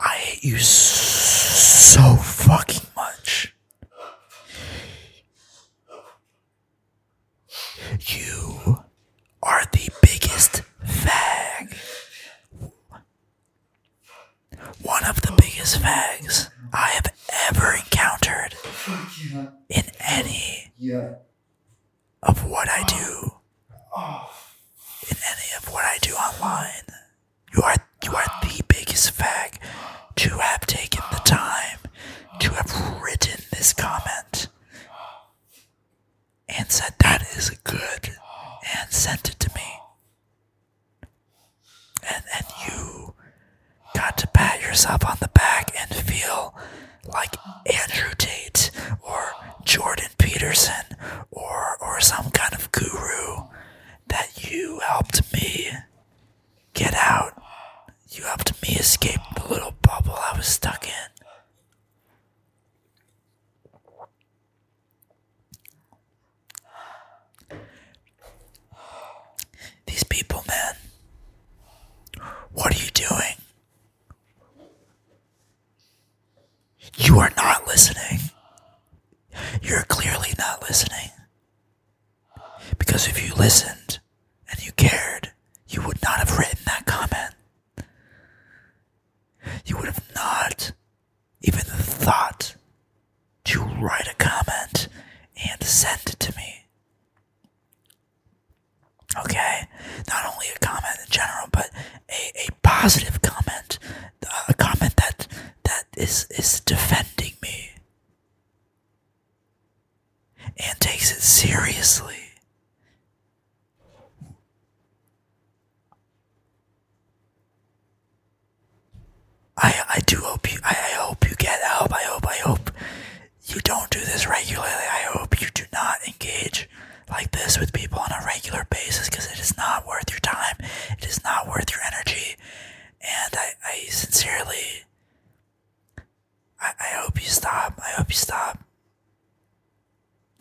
I hate you so fucking much. You are the biggest fag. One of the biggest fags I have ever encountered in any of what I do oh. in any of what I do online. You are you are the biggest fag to have taken the time to have written this comment and said that is good and sent it to me. And and you got to pat yourself on the back and feel like Andrew Tate or Jordan Peterson or or some kind of guru that you helped me get out. You helped me escape the little bubble I was stuck in. These people, man. What are you doing? You are not listening. You're clearly not listening. Because if you listened and you cared, you would not have written that comment. You would have not even thought to write a comment and send it to me. Okay, not only a comment in general, but a, a positive comment, a comment that that is is defending me and takes it seriously. I I do hope you I, hope you get help. I hope I hope you don't do this regularly. I hope you do not engage like this with people on a regular basis because it is not worth your time. It is not worth your energy. And I, I sincerely, I, I hope you stop. I hope you stop.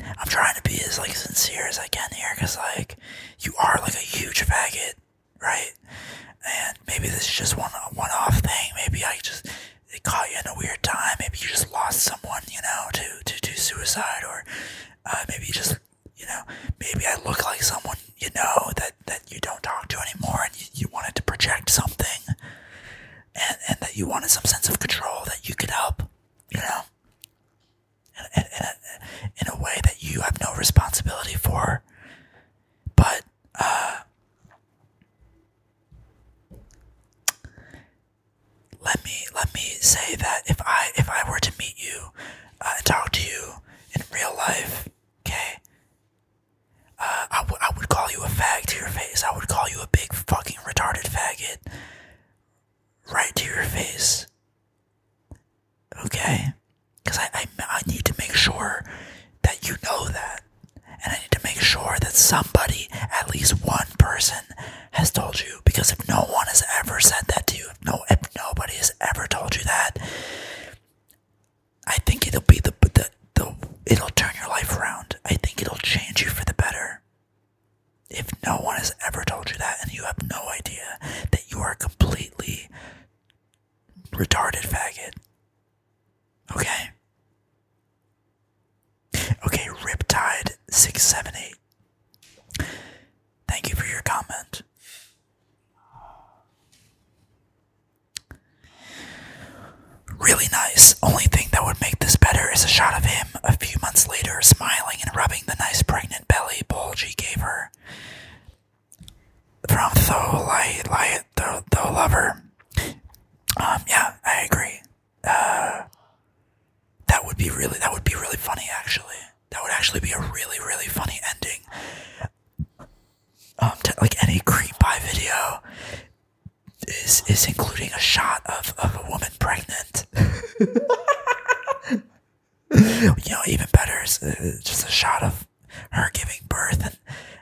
I'm trying to be as like sincere as I can here because like you are like a huge faggot, right? And maybe this is just one one off thing. Maybe I just they caught you in a weird time. Maybe you just lost someone, you know, to to, to suicide, or uh, maybe you just, you know, maybe I look like someone you know that that you don't talk to anymore, and you, wanted to project something, and and that you wanted some sense of control that you could help, you know, in, in, a, in a way that you have no responsibility for, but uh, let me let me say that if I if I were to meet you uh, and talk to you in real life, okay, uh, I, w- I would call you a fag to your face. I would call you a big fucking retarded faggot right to your face, okay? Because I, I I need to make sure that you know that. And I need to make sure that somebody, at least one person, has told you. Because if no one has ever said that to you, if, no, if nobody has ever told you that, I think it'll be the, the, the, it'll turn your life around. I think it'll change you for the better. If no one has ever told you that and you have no idea that you are completely retarded faggot. Okay? Okay, Riptide six seven eight. Thank you for your comment. Really nice. Only thing that would make this better is a shot of him a few months later, smiling and rubbing the nice pregnant belly Bulgy gave her. From Tho Light, Light, Tho, Tho Lover. Um, yeah, I agree. Uh, that would be really that would be really funny actually. That would actually be a really really funny ending. Um, like any cream pie video is is including a shot of of a woman pregnant. you know, even better is uh, just a shot of her giving birth and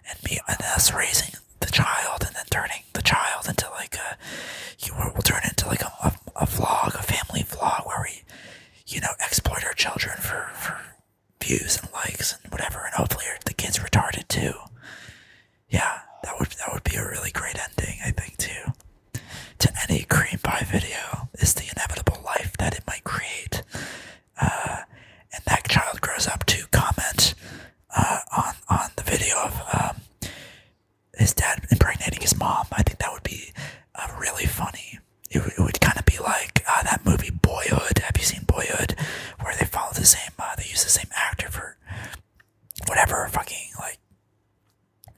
and me and us raising the child and then turning the child into like a you will turn into like a, a, vlog, a family vlog where we you know exploit our children for for views and likes and whatever, and hopefully the kids retarded too. Yeah, that would that would be a really great ending, I think too. To any cream pie video is the inevitable life that it might create, uh, and that child grows up to comment uh, on on the video of um, his dad impregnating his mom. I think that would be uh, really funny. It, would kind of be like uh, that movie Boyhood. Have you seen Boyhood, where they follow the same? they use the same actor for whatever fucking like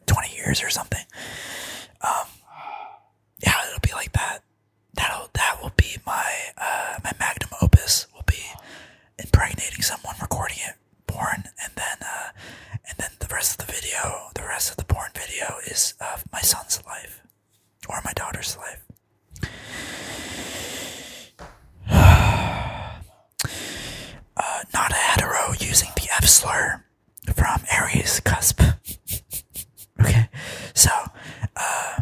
twenty years or something. Um, yeah, it'll be like that. That'll that will be my my magnum opus. Will be impregnating someone, recording it. Born and then uh, and then the rest of the video, the rest of the born video is of my son's life or my daughter's life. Uh, not a hetero using the F slur from Aries cusp. okay, so uh,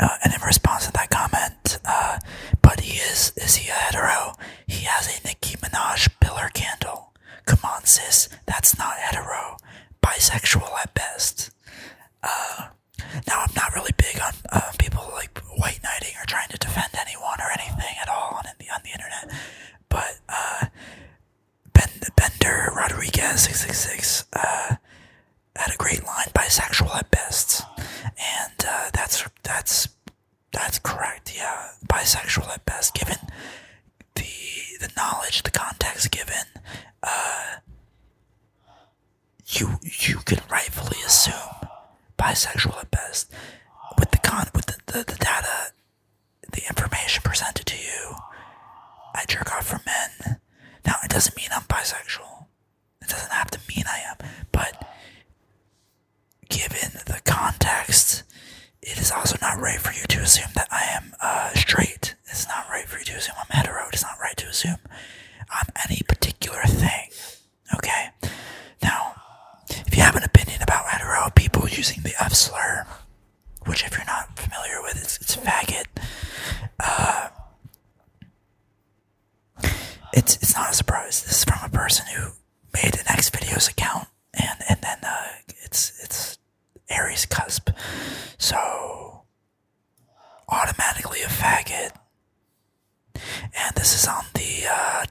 uh, and in response to that comment, uh, but he is, is he a hetero? He has a Nicki Minaj pillar candle. Come on, sis, that's not hetero. Bisexual at best. Uh, now, I'm not really big on people like white knighting or trying to defend anyone or anything at all on the, on the internet, but uh, ben, Bender Rodriguez 666 at a great line bisexual at best and uh, that's that's that's correct yeah bisexual at best given the the knowledge the context given uh, you you can rightfully assume bisexual at best with the con with the, the data the information presented to you I jerk off for men now it doesn't mean I'm bisexual it doesn't have to mean I am, but given the context, it is also not right for you to assume that I am uh, straight. It's not right for you to assume I'm hetero. It's not right to assume I'm any particular thing. Okay? Now, if you have an opinion about hetero people using the F slur, which if you're not familiar with, it's, it's faggot. Uh, it's it's not a surprise. This is from a person who made an X videos account, and and then uh, it's it's Aries cusp, so automatically a faggot. And this is on the uh,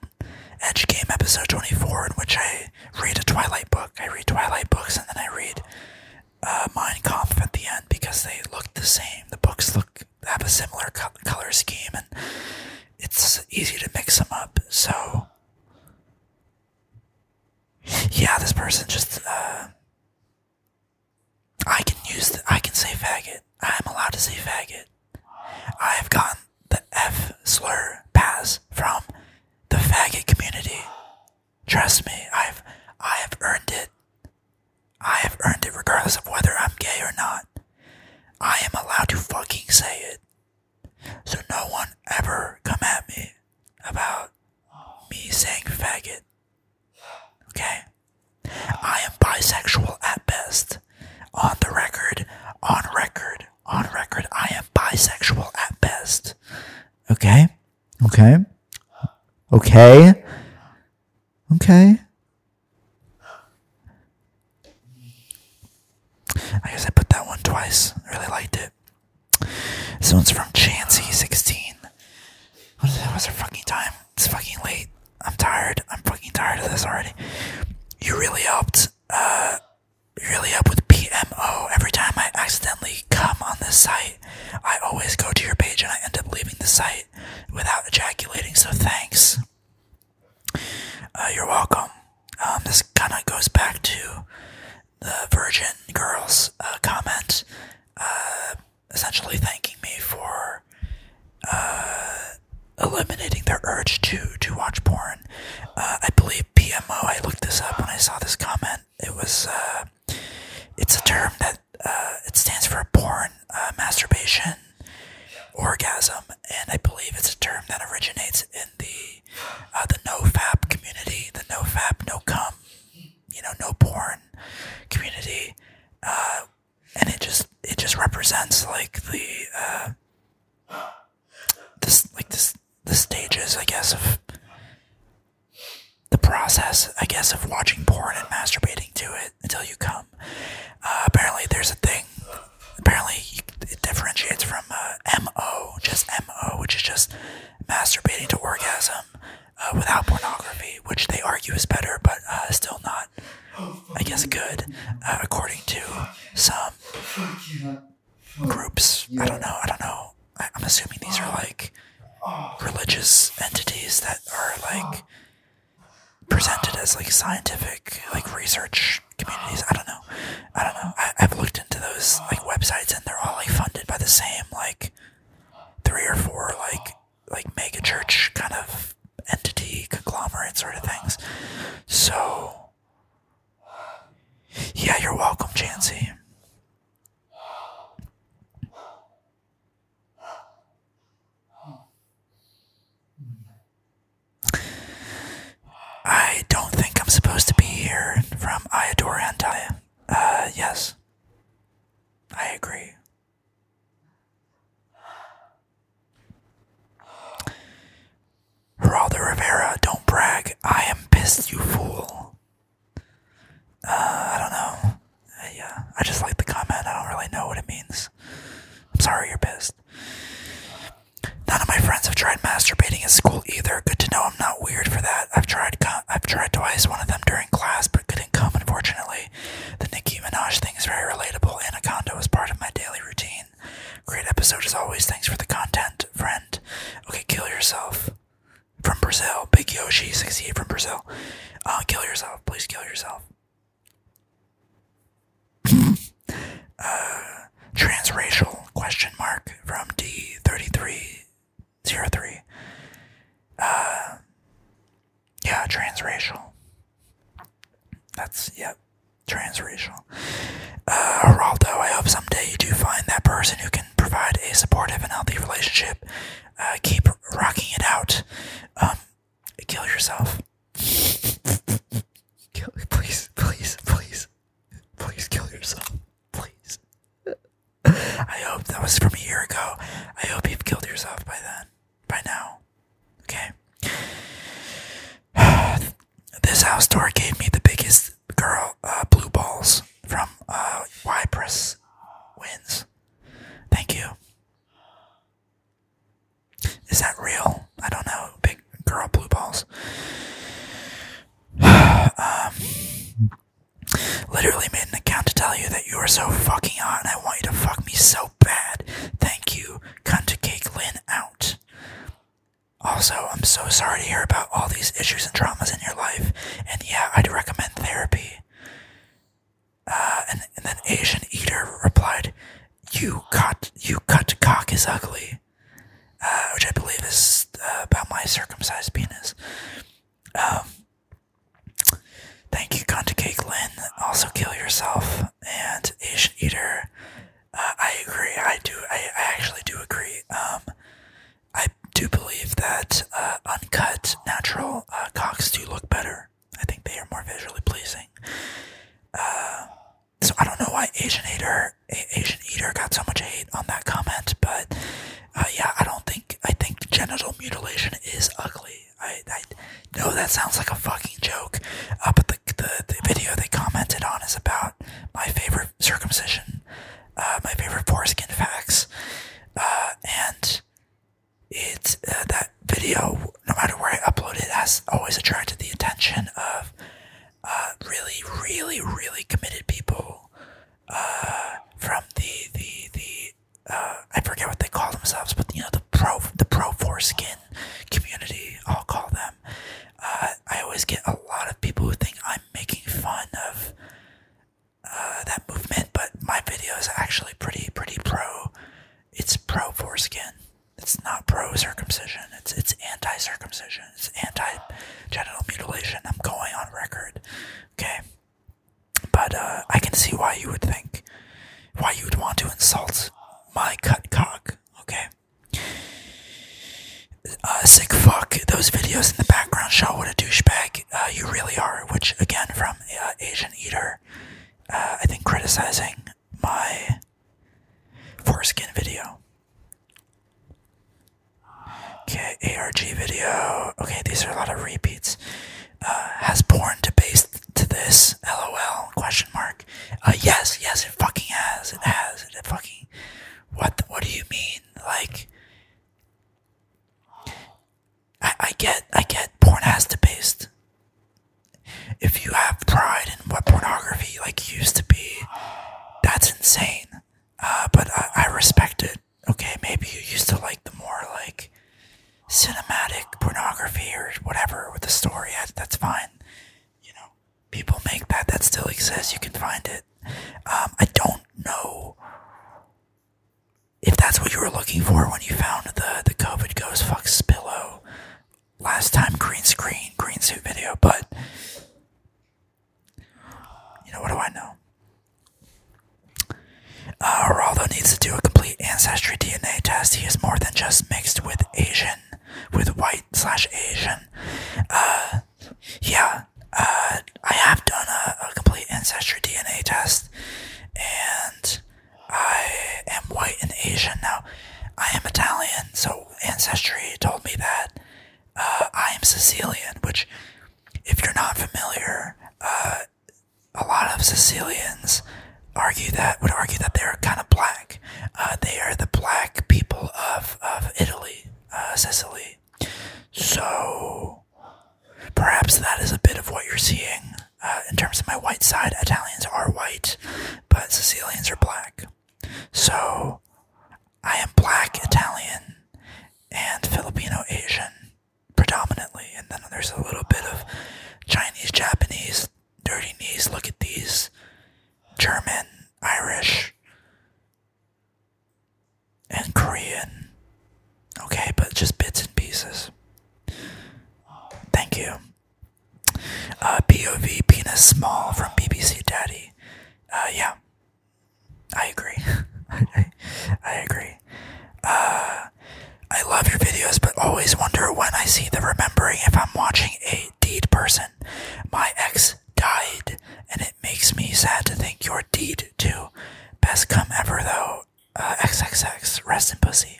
Edge Game episode twenty four, in which I read a Twilight book. I read Twilight books, and then I read uh, Mein at the end because they look the same. The books look have a similar color scheme, and it's easy to mix them up. So, yeah, this person just uh, I can use the, I can say faggot. I am allowed to say faggot. I have gotten the F slur pass from the faggot community. Trust me, I've I have earned it. I have earned it regardless of whether I'm gay or not. I am allowed to fucking say it. So no one ever come at me about me saying faggot. Okay? I am bisexual at best. On the record, on record, on record, I am bisexual at best. Okay? Okay? Okay? Okay. I guess I put that one twice. I really liked it. This one's from Chansey16. What is it? What's her fucking time? It's fucking late. I'm tired. I'm fucking tired of this already. You really helped. Uh, you really helped with PMO. Every time I accidentally come on this site, I always go to your page and I end up leaving the site without ejaculating, so thanks. Uh, you're welcome. Um, this kind of goes back to the Virgin Girls uh, comment, uh, essentially thanking me for eliminating their urge to, to watch porn. I believe PMO, I looked this up when I saw this comment. It was it's a term that uh, it stands for a porn uh, masturbation orgasm, and I believe it's a term that originates in the uh, the nofap community, the nofap no cum, you know, no porn community, uh, and it just it just represents like the uh, this like this the stages, I guess, of the process, I guess, of watching porn and masturbating to it until you come. Uh, apparently, there's a thing. Apparently, it differentiates from uh, MO, just MO, which is just masturbating to orgasm uh, without pornography, which they argue is better, but still not, I guess, good, according to some groups. I don't know. I don't know. I'm assuming these are like religious entities that are like presented as like scientific like research communities i don't know i don't know I, have looked into those like websites and they're all like funded by the same like three or four like like mega church kind of entity conglomerate sort of things so yeah you're welcome chansey I don't think I'm supposed to be here from Iodora Antaya. Uh, yes. I agree. Geraldo Rivera, don't brag. I am pissed, you fool. Uh, I don't know. Uh, yeah, I just like the comment. I don't really know what it means. I'm sorry you're pissed. None of my friends have tried masturbating at school either. Good to know I'm not weird for that. I've tried I've tried twice, one of them during class, but couldn't come, unfortunately. The Nicki Minaj thing is very relatable. Anaconda was part of my daily routine. Great episode as always. Thanks for the content, friend. Okay, kill yourself. From Brazil. Big Yoshi, 68 from Brazil hell. Uh, kill yourself. Please kill yourself. Uh, transracial question mark from D3303. Uh, yeah, transracial. That's, yeah, transracial. Uh, I hope someday you do find that person who can provide a supportive and healthy relationship uh, keep rocking it out. Um, kill yourself. kill, please, please, please, please kill yourself. Please. I hope that was from a year ago. I hope you've killed yourself by then, by now. Okay. this house door gave me the biggest girl uh, blue balls from uh, Wins. Thank you. Is that real? I don't know. Big girl blue balls. Um, literally made an account to tell you that you are so fucking hot and I want you to fuck me so bad. Thank you. Cunt cake Lynn out. Also, I'm so sorry to hear about all these issues and traumas in your life. And yeah, I'd recommend therapy. Uh, and, then Asian Eater replied, "You cut, you cut cock is ugly," uh, which I believe is uh, about my circumcised penis. Um, thank you, Conta Cake Lynn. Also, kill yourself and Asian Eater. I agree. I do. I, actually do agree. Um, I do believe that uncut, natural cocks do look better. I think they are more visually pleasing. Uh, so I don't know why Asian Eater, Asian Eater got so much hate on that comment, but uh, yeah, I don't think I think genital mutilation is ugly. I, I know that sounds like a fucking joke, uh, but the, the, video they commented on is about my favorite circumcision, my favorite foreskin facts, and it uh, that video, no matter where I upload it, has always attracted the attention of uh, really, really, really committed people uh, from the the the I forget what they call themselves, but you know the pro the pro foreskin community. I'll call them. I always get a lot of people who think I'm making fun of uh, that movement, but my video is actually pretty pretty pro. It's pro foreskin. It's not pro circumcision. It's it's anti circumcision. It's anti genital mutilation. I'm going on record. Okay. But uh, I can see why you would think, why you would want to insult my cut cock. Okay. Uh, sick fuck. Those videos in the background show what a douchebag uh, you really are, which again from uh, Asian Eater, uh, I think criticizing my foreskin video. Okay, ARG video. Okay, these are a lot of repeats. has porn to base to this? LOL? Question mark. yes, yes, it fucking has. It has. It fucking. What? what do you mean? Like I, get, I get porn has to based. If you have pride in what pornography like used to be, that's insane. Uh, but I, respect it. Okay, maybe you used to like the more like cinematic pornography or whatever with the story. That's fine. You know, people make that. That still exists. You can find it. Um, I don't know if that's what you were looking for when you found the the COVID goes fuck Spillo last time green screen green suit video, but you know what do I know? Uh, Raldo needs to do a complete ancestry DNA test. He is more than just mixed with Asian, with white slash Asian. Uh, yeah, uh, I have done a complete ancestry DNA test, and I am white and Asian. Now, I am Italian, so Ancestry told me that. Uh, I am Sicilian, which, if you're not familiar, uh, a lot of Sicilians argue that would argue that they're kind of black. Uh, they are the black people of of Italy, Sicily. So Perhaps that is a bit of what you're seeing. Uh, in terms of my white side, Italians are white, but Sicilians are black. So I am black, Italian, and Filipino Asian predominantly. And then there's a little bit of Chinese, Japanese, dirty knees, look at these, German, Irish, and Korean. Okay, but just bits and pieces. Thank you. Uh, POV penis small from BBC Daddy. Uh, yeah, I agree. I, agree. Uh, I love your videos, but always wonder when I see the remembering if I'm watching a deed person. My ex died, and it makes me sad to think your deed too. Best come ever, though uh, XXX, rest in pussy.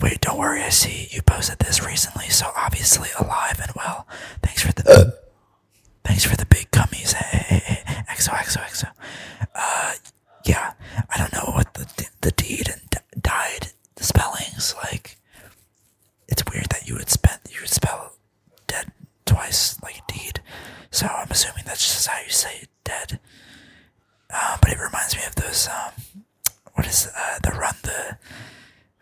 Wait, don't worry. I see you posted this recently, so obviously alive and well. Thanks for the, thanks for the big gummies. Hey, Uh, yeah. I don't know what the the deed and died the spellings like. It's weird that you would spend you would spell dead twice like deed. So I'm assuming that's just how you say it dead. Um, but it reminds me of those. Um, what is uh, the run the?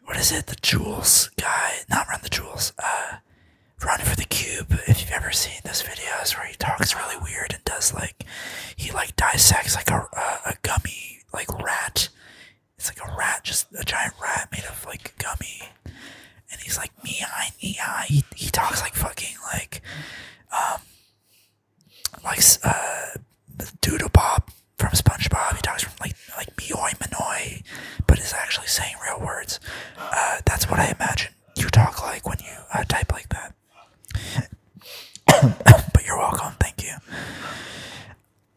What is it? The jewels guy? Not run the jewels. Uh, run for the cube. If you've ever seen those videos where he talks really weird and does like, he like dissects like a a, gummy like rat. It's like a rat, just a giant rat made of like gummy. And he's like, me, I, me, I. He, he talks like fucking like, um, like uh, Doodle Bob from SpongeBob. He talks from like like Mioi Manoi, but is actually saying real words. Uh, that's what I imagine you talk like when you uh, type like that. but you're welcome. Thank you.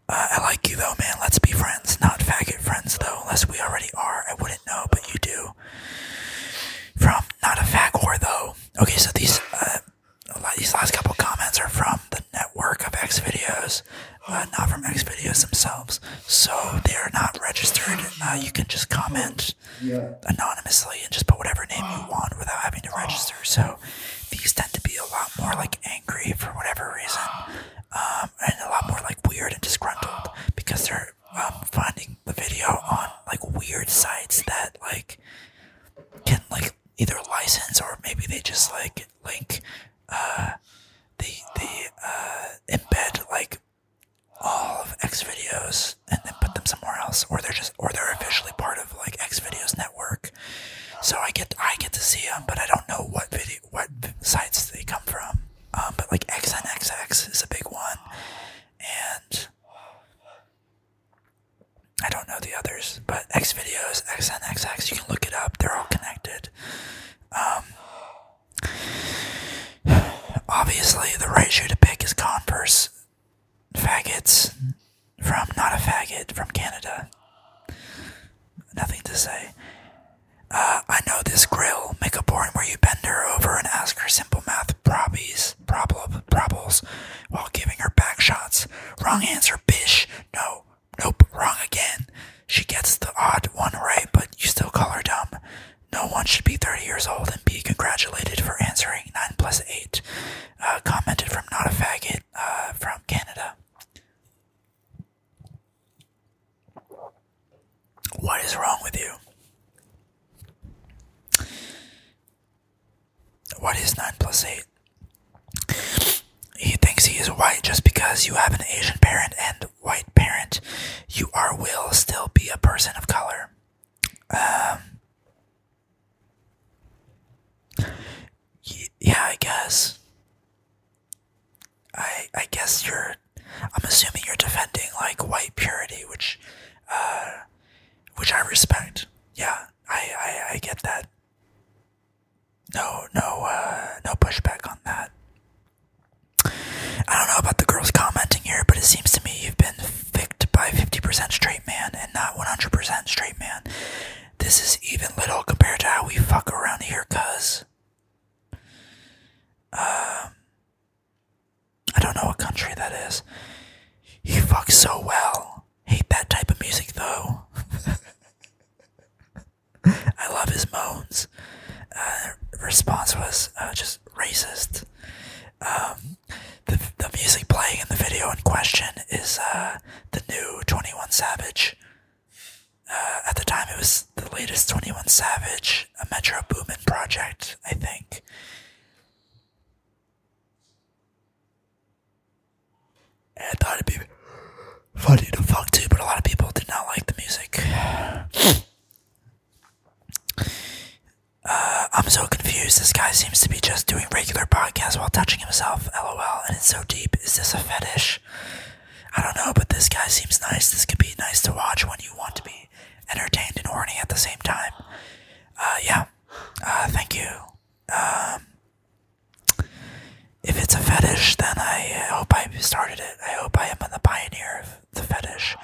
Uh, I like you though, man. Let's be friends, not faggot friends though, unless we already are. I would not no, but you do. From not a fag though. Okay, so these uh, these last couple comments are from the network of X videos, uh, not from X videos themselves. So they are not registered. Uh, you can just comment anonymously and just put whatever name you want without having to register. So these tend to be a lot more like angry for whatever reason, um, and a lot more like weird and disgruntled because they're I'm finding the video on like weird sites that like can like either license or maybe they just like link uh the the uh embed like all of X videos and then put them somewhere else or they're just or they're officially part of like X videos network. So I get I get to see them, but I don't know what video what sites they come from. Um, but like X X and X is a big one, and I don't know the others, but X videos, XNXX, you can look it up. They're all connected. Um, obviously, the right shoe to pick is Converse faggots from not a faggot from Canada. Nothing to say. Uh, I know this grill. Make a boring where you bend her over and ask her simple math probies problem, problems, while giving her back shots. Wrong answer, bish. No, nope, wrong again. She gets the odd one right, but you still call her dumb. No one should be 30 years old and be congratulated for answering 9 plus 8. Uh, commented from Not a Faggot uh, from Canada. What is wrong with you? What is 9 plus 8? He thinks he is white just because you have an Asian parent and white parent. You are will still be a person of color. Um, yeah, I guess. I I guess you're. I'm assuming you're defending like white purity, which uh, which I respect. Yeah, I, I, I get that. No, no, uh, no pushback on that. I don't know about the girls commenting here, but it seems to me you've been ficked by 50% straight man and not 100% straight man. This is even little compared to how we fuck around here, cuz. Um, I don't know what country that is. He fucks so well. Hate that type of music though. I love his moans. Uh, response was uh, just racist. Um, the, the music playing in the video in question is uh, the new 21 Savage. at the time, it was the latest 21 Savage, a Metro Boomin project, I think. I thought it'd be funny to fuck too, but a lot of people did not like the music. Uh, I'm so confused. This guy seems to be just doing regular podcast while touching himself. LOL. And it's so deep. Is this a fetish? I don't know, but this guy seems nice. This could be nice to watch when you want to be entertained and horny at the same time. Uh, yeah. Uh, thank you. Um, if it's a fetish, then I uh, hope I started it. I hope I am the pioneer of the fetish.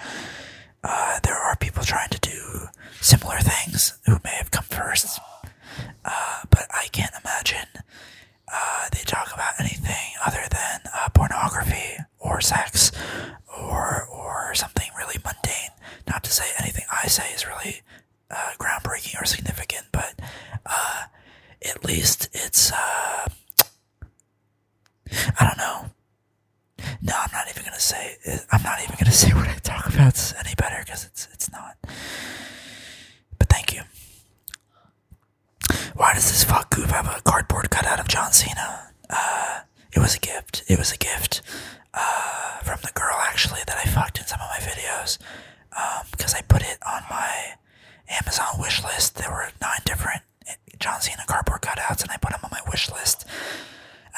there are people trying to do similar things who may have come first, but I can't imagine they talk about anything other than pornography or sex or or something really mundane. Not to say anything I say is really uh, groundbreaking or significant, but uh, at least it's uh, I don't know. No, I'm not even gonna say. I'm not even gonna say what I talk about any better because it's it's not. But thank you. Why does this fuck goof have a cardboard cutout of John Cena? It was a gift. It was a gift uh, from the girl actually that I fucked in some of my videos because um, I put it on my Amazon wish list. There were nine different eh, John Cena cardboard cutouts, and I put them on my wish list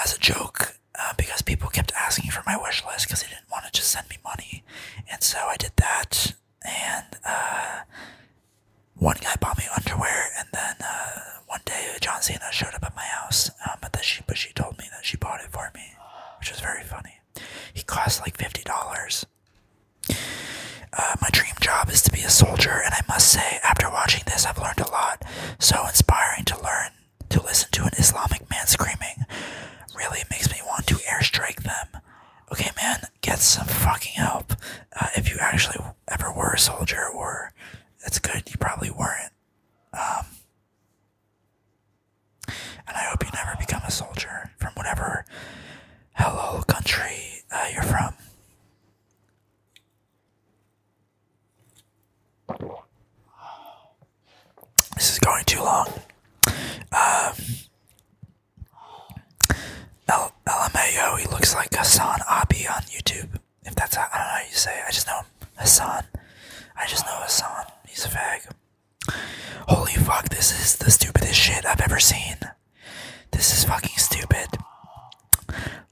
as a joke uh, because people kept asking for my wish list because they didn't want to just send me money, and so I did that. And uh, one guy bought me underwear, and then one day John Cena showed up at my house, um, but that she but she told me that she bought it for me, which was very funny. He cost like fifty dollars. Uh, my dream job is to be a soldier, and I must say, after watching this, I've learned a lot. So inspiring to learn to listen to an Islamic man screaming. Really makes me want to airstrike them. Okay, man, get some fucking help. Uh, if you actually ever were a soldier, or it's good, you probably weren't. Um, and I hope you never become a soldier from whatever hello country uh, you're from. This is going too long. Um, he looks like Hassan Abi on YouTube. If that's how, I don't know how you say I just know Hassan. I just know Hassan. He's a fag. Holy fuck, this is the stupidest shit I've ever seen. This is fucking stupid.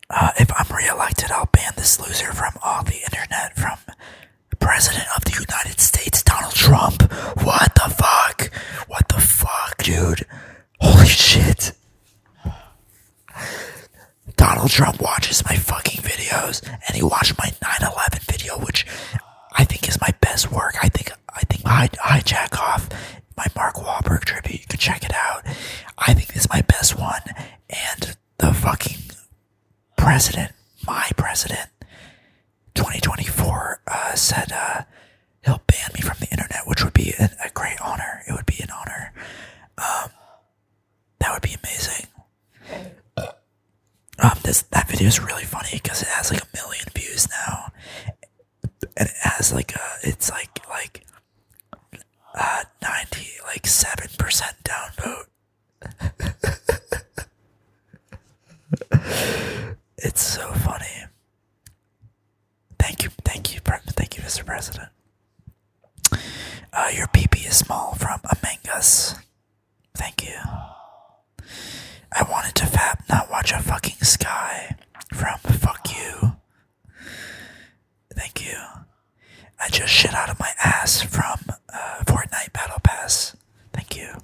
Uh, if I'm reelected, I'll ban this loser from all the internet from President of the United States, Donald Trump. What the fuck? What the fuck, dude? Holy shit. Donald Trump watches my fucking videos and he watched my 9/11 video which I think is my best work. I think I think I hijack off my Mark Wahlberg tribute. You can check it out. I think this is my best one and the fucking president, my president 2024 uh, said uh, he'll ban me from the internet, which would be a, great honor. It would be an honor. Um, that would be amazing. Um, this that video is really funny because it has like a million views now, and it has like a it's like like uh ninety like seven percent downvote. it's so funny. Thank you, thank you, thank you, Mr. President. Uh, your PP is small from Among Us. Thank you. I wanted to fap, not watch a fucking sky from Fuck You. Thank you. I just shit out of my ass from uh, Fortnite Battle Pass. Thank you.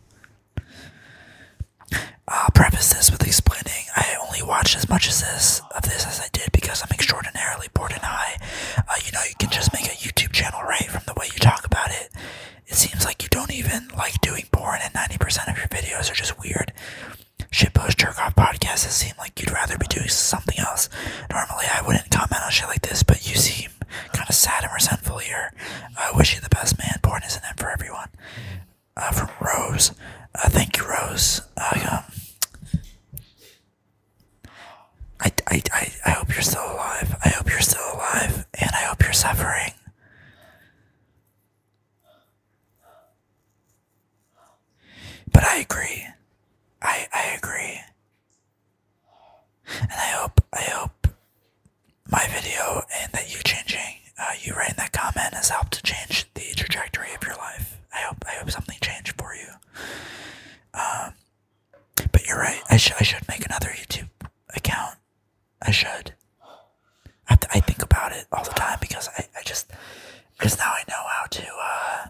I'll uh, preface this with explaining I only watched as much as this of this as I did because I'm extraordinarily Natalie Borden High. you know, you can just make a YouTube channel, right? From the way you talk about it, it seems like you don't even like doing porn, and 90% of your videos are just weird. Shitpost jerk off podcasts, it seems like you'd rather be doing something else. Normally, I wouldn't comment on shit like this, but you seem kind of sad and resentful here. I wish you the best, man. Porn isn't for everyone. Uh, from Rose. Uh, thank you, Rose. Uh, um, I, I, I, I hope you're still alive. I hope you're still alive. And I hope you're suffering. But I agree. I, I agree. And I hope, I hope my video and that you changing, uh, you writing that comment has helped to change the trajectory of your life. I hope, I hope something changed for you. Um, but you're right. I should I should make another YouTube account. I should. I, I think about it all the time because I, I just because now I know how to. Uh,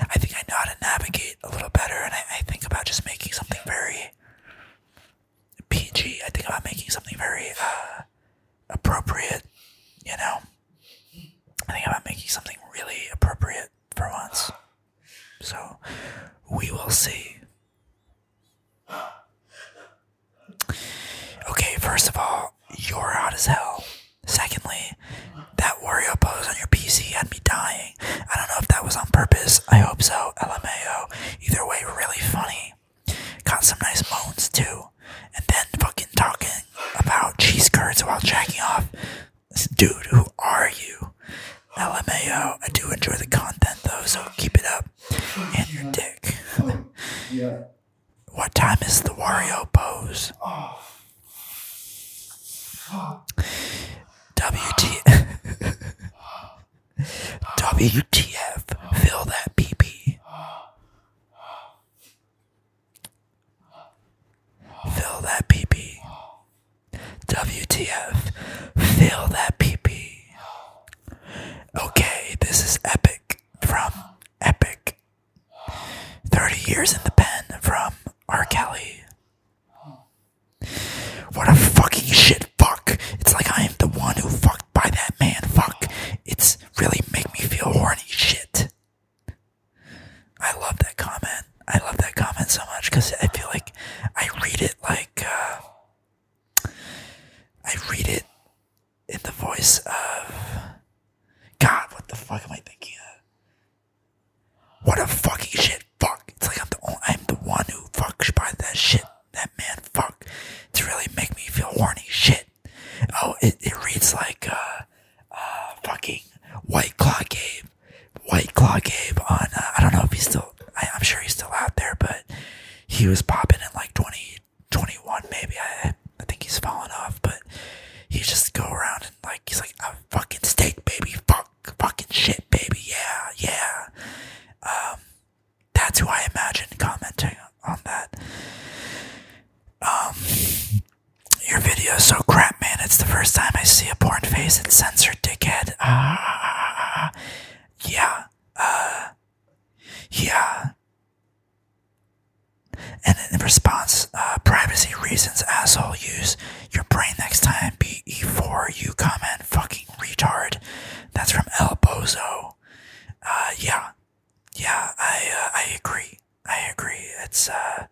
I think I know how to navigate a little better, and I, I think about just making something very PG. I think about making something very uh, appropriate. You know, I think about making something really appropriate for once. So we will see. Okay, first of all, you're hot as hell. Secondly, that Wario pose on your PC had me dying. I don't know if that was on purpose. I hope so. LMAO. Either way, really funny. Got some nice moans too. And then fucking talking about cheese curds while jacking off dude, who are you? LMAO. I do enjoy the content though, so keep it up. And your dick. What time is the Wario pose? Oh. WTF. Fill that PP. Fill that PP. WTF. Fill that PP. Okay, this is Epic from Epic. 30 years in the pen from R. Kelly. What a fucking shit fuck. It's like I am the one who fucked by that man. Fuck. It's really make me feel horny shit. I love that comment. I love that comment so much because I feel like I read it like uh, I read it in the voice of God. What the fuck am I thinking of? What a fucking shit fuck! It's like I'm the only, I'm the one who fuck by that shit. That man fuck to really make me feel horny shit. Oh, it, it reads like uh, uh, fucking White Claw Gabe. White Claw Gabe on, uh, I don't know if he's still, I, am sure he's still out there, but he was popping in like 2021 maybe. I, I think he's fallen off, but he just go around and like, he's like, a fucking steak, baby. Fuck, fucking shit, baby. Yeah, yeah. Um, that's who I imagine commenting on that. Um, your video is so crap, man. It's the first time I see a porn face. and censored, dickhead. Ah, uh, yeah. Uh, yeah. And in response, uh, privacy reasons, asshole. Use your brain next time. Be before 4 You comment, fucking retard. That's from El Bozo. Uh, yeah. Yeah, I, uh, I agree. I agree. It's uh,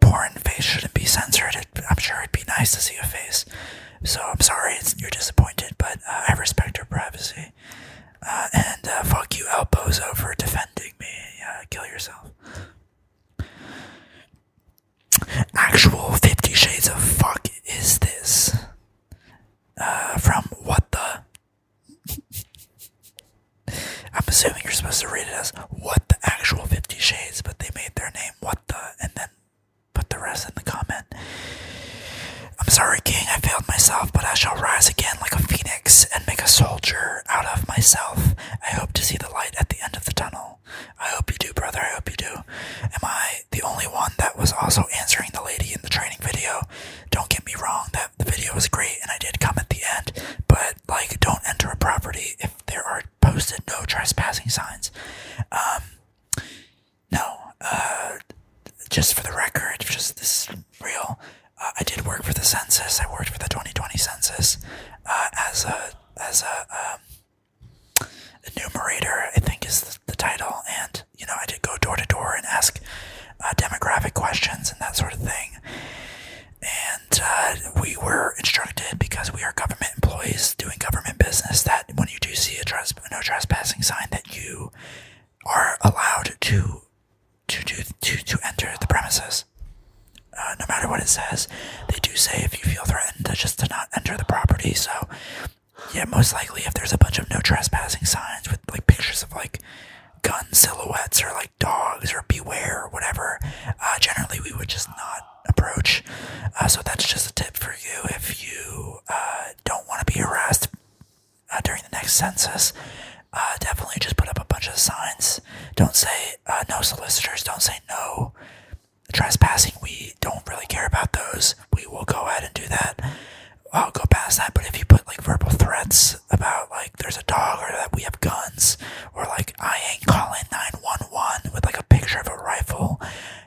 porn face shouldn't be censored. I'm sure it'd be nice to see a face. So I'm sorry you're disappointed, but uh, I respect your privacy. Uh, and uh, fuck you, El Bozo, for defending me. kill yourself. Actual Fifty Shades of Fuck is this? from what the? I'm assuming you're supposed to read it as what the actual Fifty Shades, but they made their name what the, and then put the rest in the comment. I'm sorry, King, I failed myself, but I shall rise again like a phoenix and make a soldier out of myself. I hope to see the light at the end of the tunnel. I hope you do, brother, I hope you do. Am I the only one that was also answering the lady in the training video? Don't get me wrong, that the video was great and I did come at the end, but like don't enter a property if there are posted no trespassing signs. Um, no, uh, just for the record, just this real. Uh, I did work for the census. I worked for the 2020 census uh, as a as a um, enumerator. I think is the, title, and you know I did go door to door and ask demographic questions and that sort of thing. And uh, we were instructed because we are government employees doing government business that when you do see a no trespassing sign, that you are allowed to to to, to enter the premises. Uh, no matter what it says, they do say if you feel threatened uh, just to not enter the property. So, yeah, most likely if there's a bunch of no trespassing signs with like pictures of like gun silhouettes or like dogs or beware or whatever, uh, generally we would just not approach. Uh, so that's just a tip for you if you uh, don't want to be harassed during the next census. definitely just put up a bunch of signs. Don't say no solicitors. Don't say no trespassing. We don't really care about those. We will go ahead and do that. I'll go past that. But if you put like verbal threats about like there's a dog or that we have guns, we're like, I ain't calling 911 with like a picture of a rifle.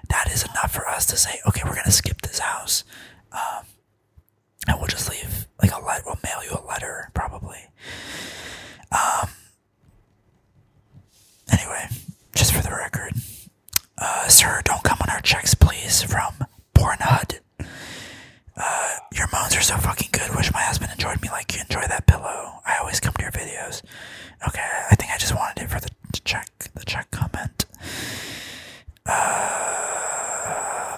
That is enough for us to say, okay, we're going to skip this house. Um, and we'll just leave like a letter, we'll mail you a letter probably. Um, anyway, just for the record, uh, sir, don't come on our checks, please, from Pornhub. your moans are so fucking good. Wish my husband enjoyed me like you enjoy that pillow. I always come to your videos. Okay, I think I just wanted it for the check, the check comment. Uh,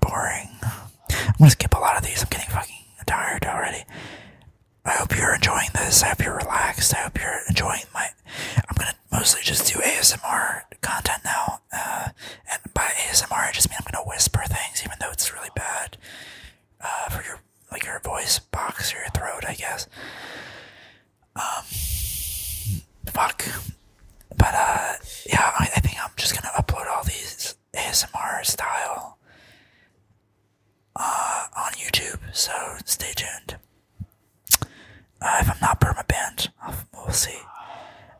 boring. I'm gonna skip a lot of these. I'm getting fucking tired already. I hope you're enjoying this. I hope you're relaxed. I hope you're enjoying my. I'm gonna mostly just do ASMR content now. Uh, and by ASMR, I just mean I'm gonna whisper things, even though it's really bad. Uh, for your like your voice box or your throat, I guess. Um, fuck. But uh, yeah, I, think I'm just gonna upload all these ASMR style uh, on YouTube. So stay tuned. Uh, if I'm not perma banned, we'll see.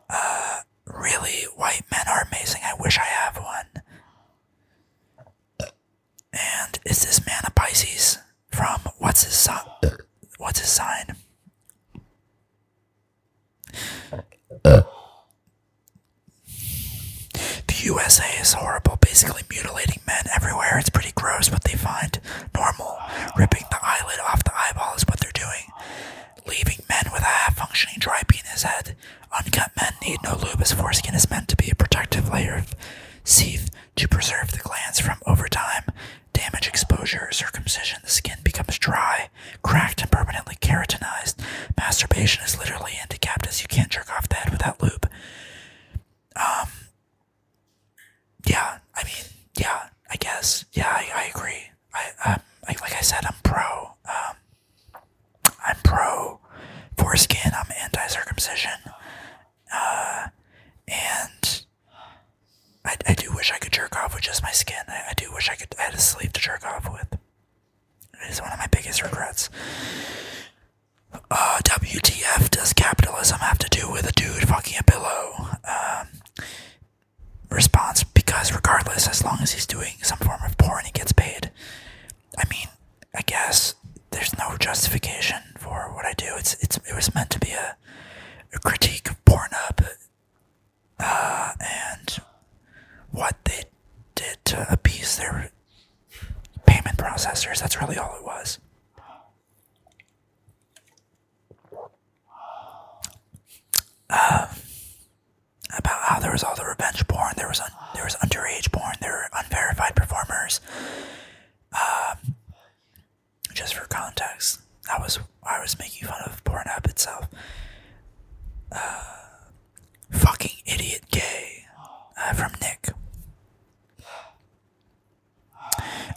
Uh, really, white men are amazing. I wish I have one. And is this man a Pisces from what's his sign? What's his sign? The USA is horrible, basically mutilating men everywhere. It's pretty gross what they find normal. Ripping the eyelid off the eyeball is what they're doing leaving men with a half functioning dry penis head. Uncut men need no lube as foreskin is meant to be a protective layer of seeth to preserve the glands from over time. Damage, exposure, circumcision, the skin becomes dry, cracked, and permanently keratinized. Masturbation is literally handicapped as you can't jerk off the head without lube. Um, yeah, I mean, yeah, I guess, yeah, I, agree. I, um, like I said, I'm pro, um, I'm pro foreskin. I'm anti circumcision. Uh, and I, do wish I could jerk off with just my skin. I, do wish I could I had a sleeve to jerk off with. It is one of my biggest regrets. Uh, WTF does capitalism have to do with a dude fucking a pillow? Um, response because regardless, as long as he's doing some form of porn, he gets paid. I mean, I guess there's no justification for what I do. It's it's it was meant to be a, a critique of Pornhub uh, and what they did to abuse their payment processors. That's really all it was. Um, about how there was all the revenge porn, there was there was underage porn, there were unverified performers. Um, just for context, I was I was making fun of Pornhub itself. Uh, fucking idiot gay uh, from Nick.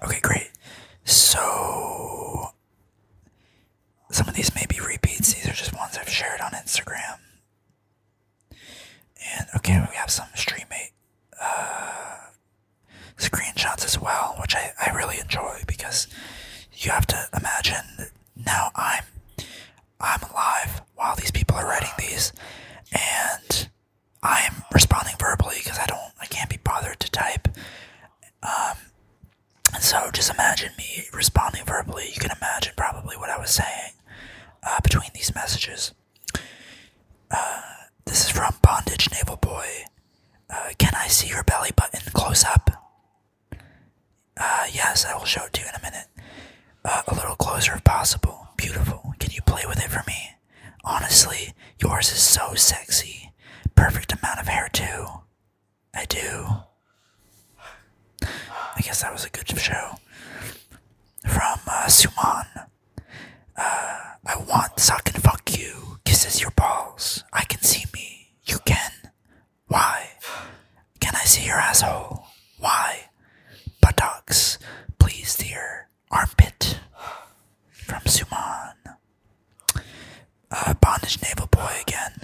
Okay, great. So some of these may be repeats. These are just ones I've shared on Instagram. And okay, we have some StreamMate uh, screenshots as well, which I, I really enjoy because you have to imagine now I'm I'm live while these people are writing these, and I'm responding verbally because I don't I can't be bothered to type. Um, and so just imagine me responding verbally. You can imagine probably what I was saying uh, between these messages. Uh, this is from Bondage Naval Boy. Uh, can I see your belly button close up? yes, I will show it to you in a minute. a little closer if possible. Beautiful. Can you play with it for me? Honestly, yours is so sexy. Perfect amount of hair, too. I do. I guess that was a good show. From uh, Suman. Uh, I want suck and fuck you. Kisses your balls. I can see me. You can. Why? Can I see your asshole? Why? Buttocks. Please, dear. Armpit. From Suman. Uh, bondage naval boy again.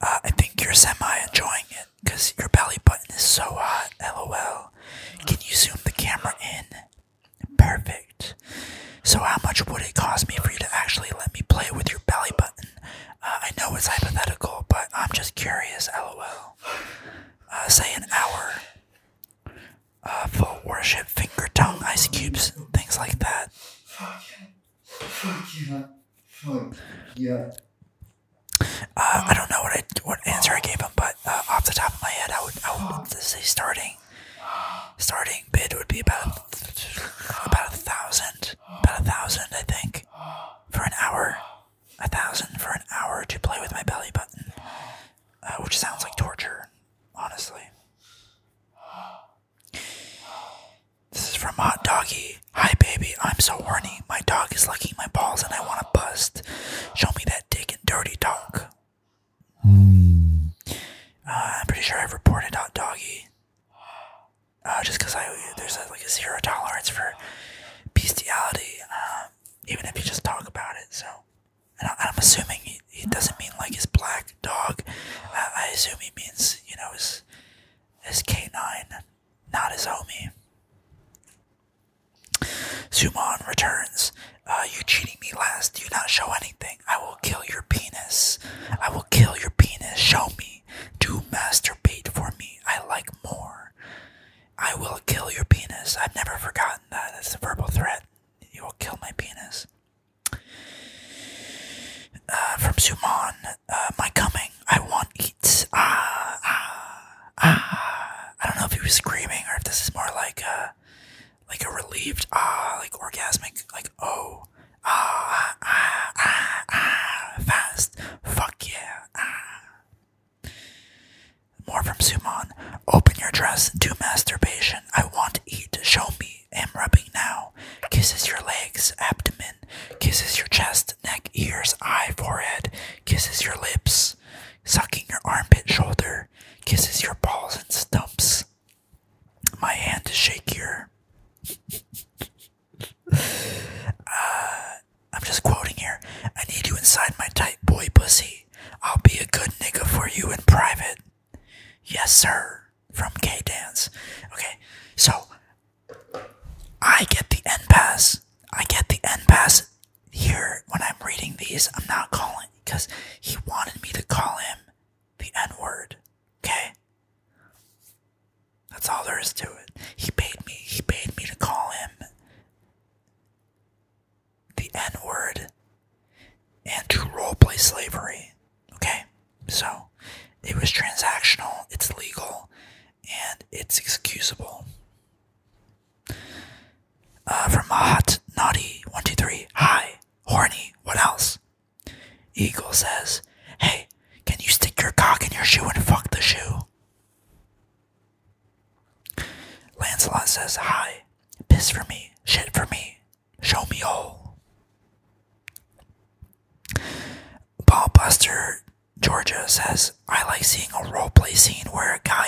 Uh, I think you're semi enjoying it because your belly button is so hot. LOL. Can you zoom the camera in? Perfect. So, how much would it cost me for you to actually let me play with your belly button? Uh, I know it's hypothetical, but I'm just curious. LOL. Uh, say an hour. Uh, worship, finger, tongue, ice cubes, things like that. Uh, I don't know what what answer I gave him, but uh, off the top of my head, I would I would say starting starting bid would be about about a thousand, about a thousand, I think, for an hour, a thousand for an hour to play with my belly button, uh, which sounds like torture, honestly. This is from Hot Doggy. Hi, baby. I'm so horny. My dog is licking my balls and I want to bust. Show me that dick and dirty dog. Uh, I'm pretty sure I've reported Hot Doggy. Uh, just because I there's like a zero tolerance for bestiality, um, even if you just talk about it. So, and I, am assuming he, he, doesn't mean like his black dog. I assume he means you know his his canine not his homie. Zuman returns. Uh, you cheating me last. Do not show anything. I will kill your penis. I will kill your penis. Show me. Do masturbate for me. I like more. I will kill your penis. I've never forgotten that. It's a verbal threat. You will kill my penis. Uh, from Zuman uh, my coming. I want eat. Ah, ah, ah. I don't know if he was screaming or if this is more like a, like a relieved ah, like orgasmic, like oh, ah, ah, ah, ah, fast. Fuck yeah. Ah. More from Suman. Open your dress. Do masturbation. I want eat. Show me. Am rubbing now. Kisses your legs, abdomen, kisses your chest, neck, ears, eye, forehead, kisses your lips, sucking your armpit, shoulder, kisses your balls and stumps. My hand is shakier. Uh, I'm just quoting here. I need you inside my tight boy pussy. I'll be a good nigga for you in private. Yes, sir. From K Dance. Okay, so I get the N pass. I get the N pass here when I'm reading these. I'm not calling because he wanted me to call him the N word. Okay? That's all there is to it. He paid me. He paid me to call him the N word and to role play slavery. Okay? So, it was transactional. It's legal and it's excusable. Uh, from hot, naughty, one, two, three, high, horny, what else? Eagle says, Hey, can you stick your cock in your shoe and fuck the shoe? Lancelot says, Hi, piss for me, shit for me, show me all. Ballbuster Georgia says, I like seeing a roleplay scene where a guy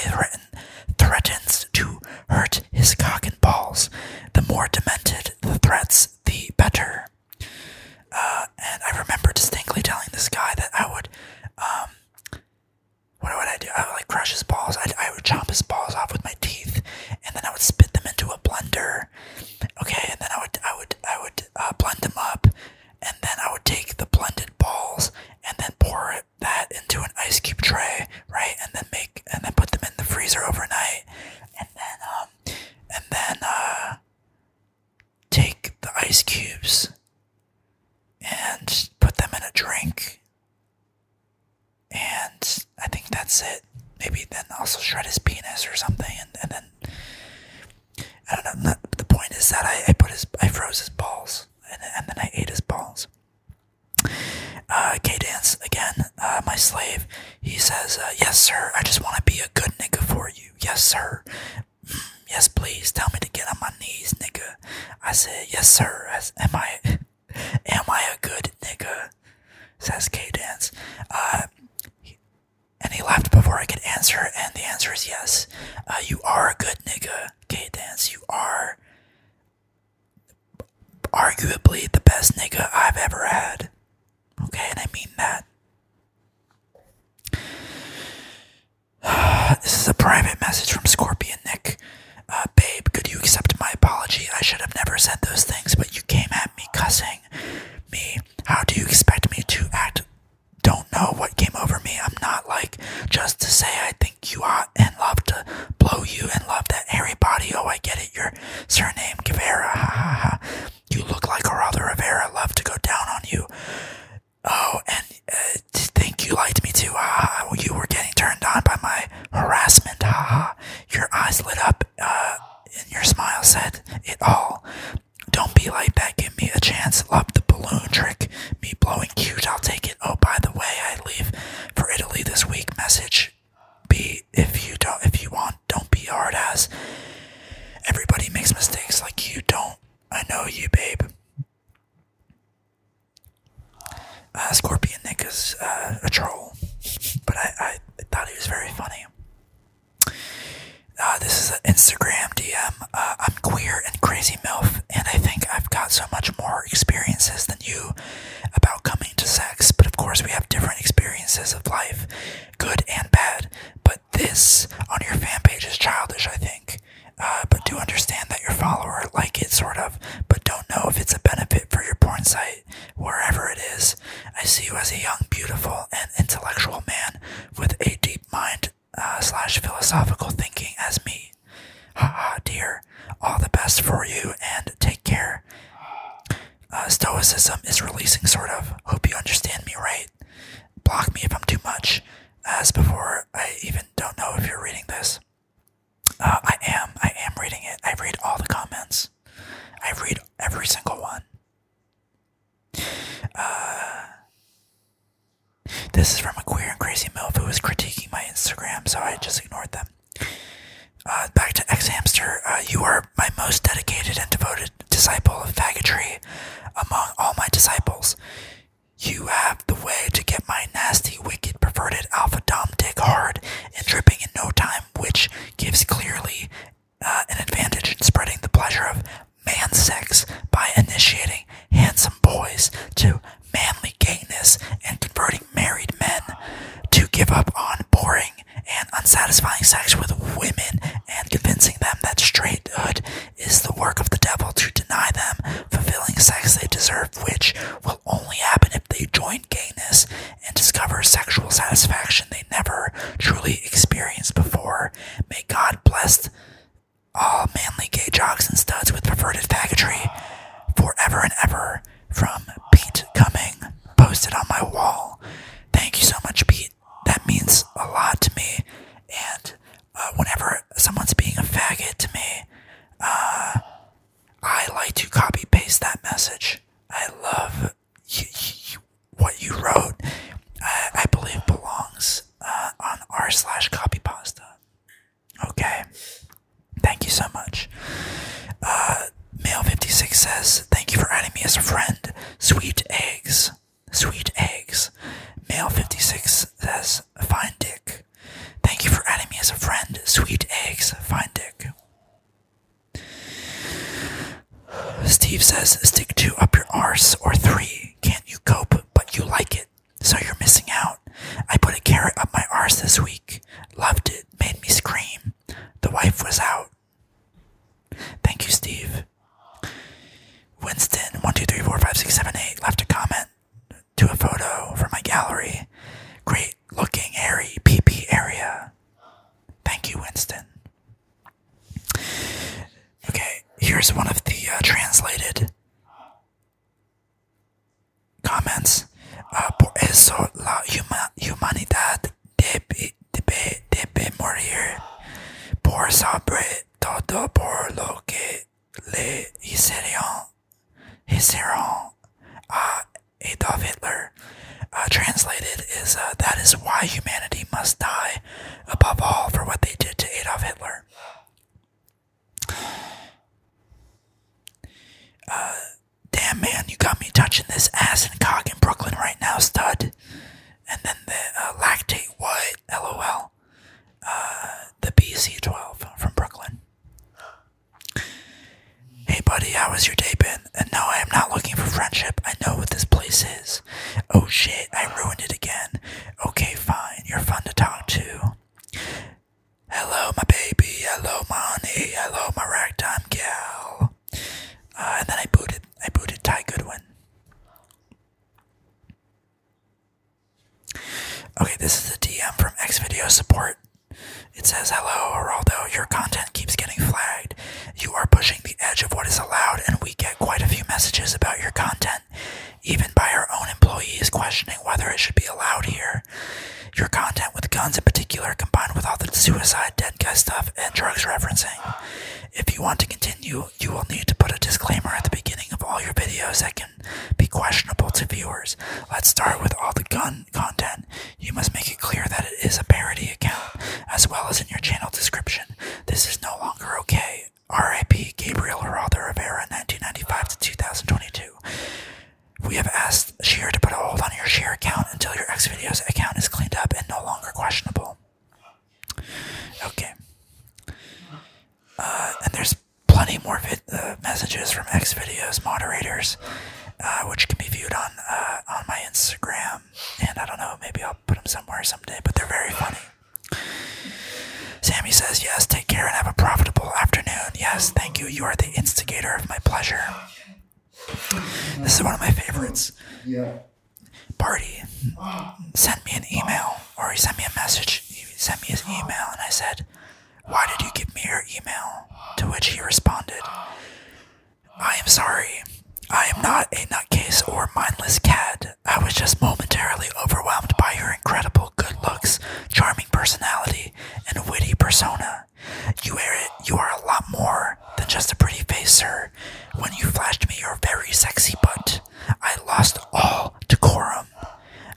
threatens to hurt his cock and balls. The more demented the threats, the better. Uh, and I remember distinctly telling this guy that I would, um, what would I do? I would crush his balls. I, would chop his balls off with my teeth, and then I would spit them into a blender. Okay, and then I would, I would, I would uh, blend them up, and then I would take the blended balls and then pour that into an ice cube tray, right? And then make and then put them in the freezer overnight, and then um, and then uh, take the ice cubes and put them in a drink, and I think that's it. Maybe then also shred his penis or something, and then I don't know. the point is that I, put his, I froze his balls, and, then I ate his balls. Uh, K Dance again, uh, my slave. He says, uh, "Yes, sir. I just want to be a good nigga for you. Yes, sir. Mm, yes, please tell me to get on my knees, nigga." I said, "Yes, sir. I, am I, am I a good nigga?" Says K Dance. Uh, and he laughed before I could answer, and the answer is yes. Uh, you are a good nigga, K Dance. You are arguably the best nigga I've ever had. Okay, and I mean that. this is a private message from Scorpion Nick. Uh, babe, could you accept my apology? I should have never said those things, but you came at me cussing me. How do you expect me to act don't know what came over me. I'm not like just to say I think you are and love to blow you and love that hairy body. Oh, I get it. Your surname, Guevara. Ha ha ha. You look like Geraldo Rivera. Love to go down on you. Oh, and uh, think you liked me too. Ha ha. You were getting turned on by my harassment. Ha ha. Your eyes lit up. Uh, and your smile said it all. Don't be like that. Give me a chance. Love the balloon trick. Me blowing cute. I'll take it. Oh, by the way, I leave for Italy this week. Message be if you don't if you want. Don't be hard ass. Everybody makes mistakes like you don't. I know you, babe. Uh, Scorpion Nick is uh, a troll, but I, I thought he was very funny. Uh, this is an Instagram DM. Uh, I'm queer and crazy MILF, and I think I've got so much more experiences than you about coming to sex, but of course, we have different experiences of life, good and bad. But this on your fan page is childish, I think. Uh, but do understand that your follower like it sort of, but don't know if it's a benefit for your porn site, wherever it is. I see you as a young, beautiful, and intellectual man with a deep mind uh, slash philosophical thinking as me. Haha, ha, dear. All the best for you and take care. Uh, stoicism is releasing, sort of. Hope you understand me right. Block me if I'm too much. As before, I even don't know if you're reading this. Uh, I am. I am reading it. I read all the comments. I read every single one. Uh, this is from a queer and crazy MILF who was critiquing my Instagram, so I just ignored them. Uh, back to ex Hamster. Uh, you are my most dedicated and devoted disciple of faggotry among all my disciples. You have the way to get my nasty, wicked, perverted alpha dom dick hard and dripping in no time, which gives clearly uh, an advantage in spreading the pleasure of man sex by initiating handsome boys to manly gayness and converting married men to give up on boring and unsatisfying sex with women and convincing them that straighthood is the work of the devil to deny them fulfilling sex they deserve, which will only happen if they join gayness and discover sexual satisfaction they never truly experienced before. May God bless all manly gay jocks and studs with perverted faggotry forever and ever from Pete coming posted on my wall. Thank you so much, Pete. That means a lot to me. And uh, whenever someone's being a faggot to me, uh, I like to copy paste that message. I love you, what you wrote, I believe belongs uh, on r slash copy pasta. Okay. Thank you so much. Uh, Male 56 says, Thank you for adding me as a friend. Sweet eggs. Sweet eggs. Male 56 says, Fine dick. Thank you for adding me as a friend. Sweet eggs. Fine dick. Steve says, stick two up your arse or three. Can't you cope, but you like it. So you're missing out. I put a carrot up my arse this week. Loved it. Made me scream. The wife was out. Thank you, Steve. Winston, one two three four five six seven eight left a comment to a photo from my gallery. Great looking, pee pee area. Thank you, Winston. Okay, here's one of the uh, translated comments. Uh, por eso la humanidad debe, debe, debe morir por sobre todo por lo que le hicieron, hicieron a Adolf Hitler. Uh, translated is that is why humanity must die above all for what they did to Adolf Hitler. Uh, damn man, you got me touching this ass and cock in Brooklyn right now, stud. And then the uh, lactate what? LOL. Uh, the BC12 from Brooklyn. Hey buddy, how has your day been? And no, I am not looking for friendship. I know what this place is. Oh shit, I ruined it again. Okay, fine, you're fun to talk to. Hello, my baby. Hello, my Hello, my ragtime gal. Uh, and then I booted. I booted Ty Goodwin. Okay, this is the DM from X Video Support. It says, Hello, Geraldo. Your content keeps getting flagged. You are pushing the edge of what is allowed, and we get quite a few messages about your content, even by our own employees questioning whether it should be allowed here. Your content with guns in particular, combined with all the suicide, dead guy stuff, and drugs referencing. If you want to continue, you will need to put a disclaimer at the beginning of all your videos that can be questionable to viewers. Let's start with all the gun content. You must make it clear that it is a parody account, as well as in your channel description. This is no longer okay. R.I.P. Gabriel Geraldo Rivera, 1995 to 2022. We have asked Sheer to put a hold on your Sheer account until your X videos account is cleaned up and no longer questionable. Okay. Uh, and there's plenty more uh, messages from X videos moderators, uh, which can be viewed on on my Instagram. And I don't know, maybe I'll put them somewhere someday. But they're very funny. Sammy says, Yes, take care and have a profitable afternoon. Yes, thank you. You are the instigator of my pleasure. This is one of my favorites. Yeah. Party sent me an email, or he sent me a message. He sent me his email, and I said, Why did you give me your email? To which he responded, I am sorry. I am not a nutcase or mindless cad. I was just momentarily overwhelmed by your incredible good looks, charming personality, and witty persona. You are, you are a lot more than just a pretty face, sir. When you flashed me your very sexy butt, I lost all decorum.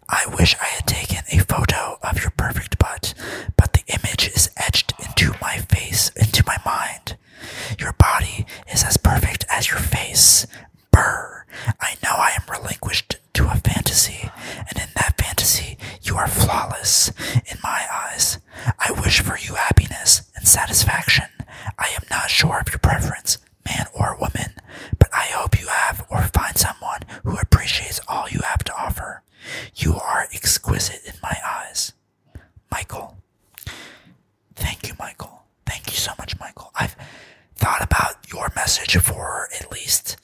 I wish I had taken a photo of your perfect butt, but the image is etched into my face, into my mind. Your body is as perfect as your face, Brr. I know I am relinquished to a fantasy, and in that fantasy you are flawless in my eyes. I wish for you happiness and satisfaction. I am not sure of your preference, man or woman, but I hope you have or find someone who appreciates all you have to offer. You are exquisite in my eyes. Michael. Thank you, Michael. Thank you so much, Michael. I've thought about your message for at least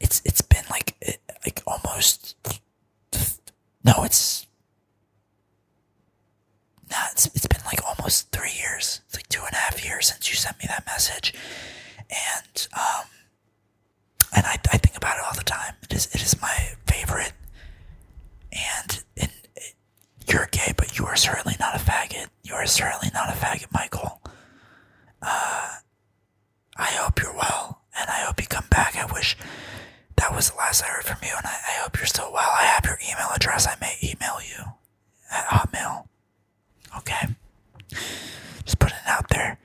it's it's been like like almost no, it's nah, it's, it's been like almost three years. It's like two and a half years since you sent me that message, and um, and I, I think about it all the time. It is it is my favorite, and you're gay, but you are certainly not a faggot. You are certainly not a faggot, Michael. Uh, I hope you're well, and I hope you come back. I wish that was the last I heard from you, and I, hope you're still well. I have your email address. I may email you at Hotmail. Okay? Just putting it out there.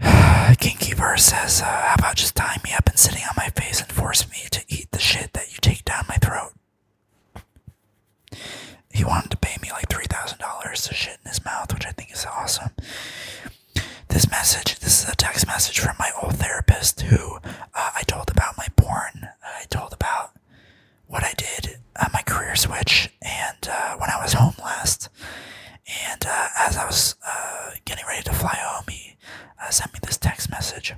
Kinky says, uh, How about just tying me up and sitting on my face and forcing me to eat the shit that you take down my throat. He wanted to pay me like $3,000 to shit in his mouth, which I think is awesome. This message, this is a text message from my old therapist who uh, I told about my porn. I told about what I did, uh, my career switch, and uh, when I was home last. And uh, as I was getting ready to fly home, he sent me this text message.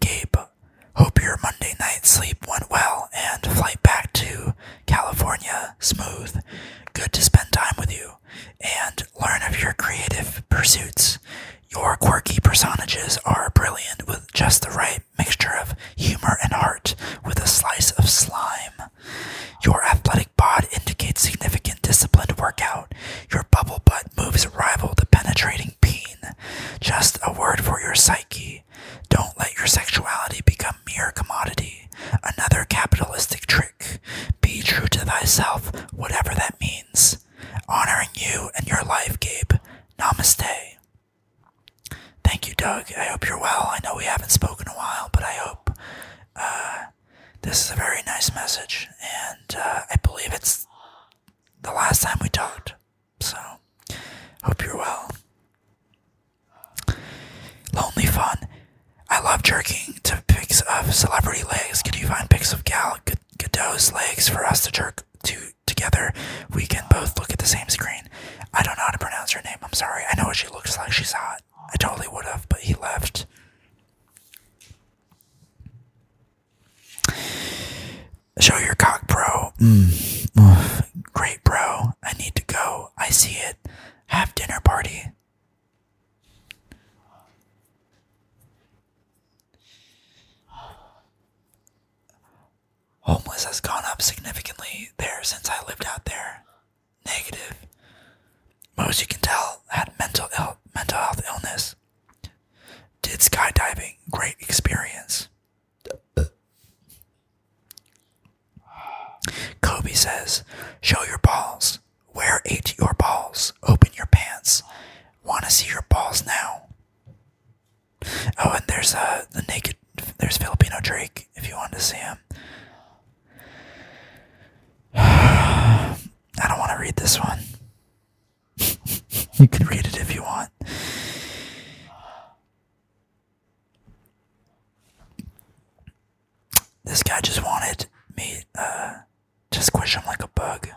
Gabe, hope your Monday night sleep went well and flight back to California smooth. Good to spend time with you and learn of your creative pursuits. Your quirky personages are brilliant with just the right mixture of humor and heart, with a slice of slime. Your athletic bod indicates significant disciplined workout. Your bubble butt moves rival the penetrating pain. Just a word for your psyche. Don't let your sexuality become mere commodity. Another capitalistic trick. Be true to thyself, whatever that means. Honoring you and your life, Gabe. Namaste. Thank you, Doug. I hope you're well. I know we haven't spoken a while, but I hope uh, this is a very nice message, and uh, I believe it's the last time we talked. So, hope you're well. Lonely Fun. I love jerking to pics of celebrity legs. Can you find pics of Gal Gadot's legs for us to jerk to together? We can both look at the same screen. I don't know how to pronounce her name. I'm sorry. I know what she looks like. She's hot. I totally would have, but he left. Show your cock, bro. Mm. great, bro. I need to go. I see it. Have dinner party. Homeless has gone up significantly there since I lived out there. Negative. Most you can tell had mental Ill mental health illness. Did skydiving, great experience. Kobe says, Show your balls. Where ate your balls? Open your pants. Want to see your balls now? Oh, and there's a uh, the naked, there's Filipino Drake if you want to see him. I don't want to read this one. you can read it if you want. This guy just wanted me uh, to squash him like a bug.